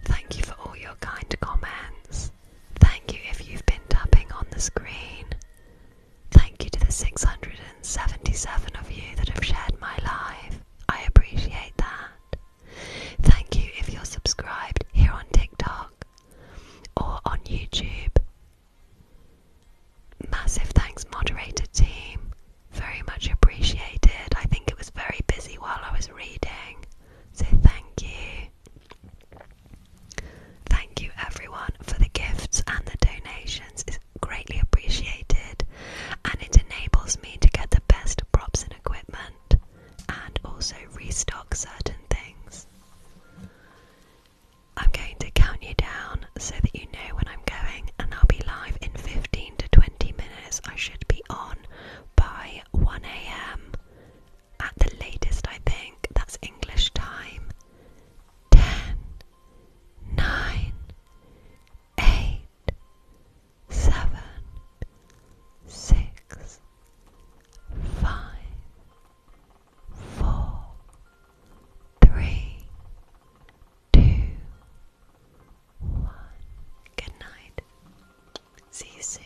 Thank you for all your kind comments. Thank you if you've been tapping on the screen. Thank you to the 677 of you that have shared my life. I appreciate that. Thank you if you're subscribed here on TikTok or on YouTube. Massive thanks, moderator team. Very much appreciated. I think it was very busy while I was reading. So thank you. Thank you, everyone, for the gifts and the donations. It's greatly appreciated and it enables me to get the best props and equipment and also restock certain things. I'm going to count you down so that you know when I'm going, and I'll be live in 15 to 20 minutes. I should be on by 1 am at the latest, I think. That's English time. 10, 8, seven, six, five, four, three, two, one. Good night. See you soon.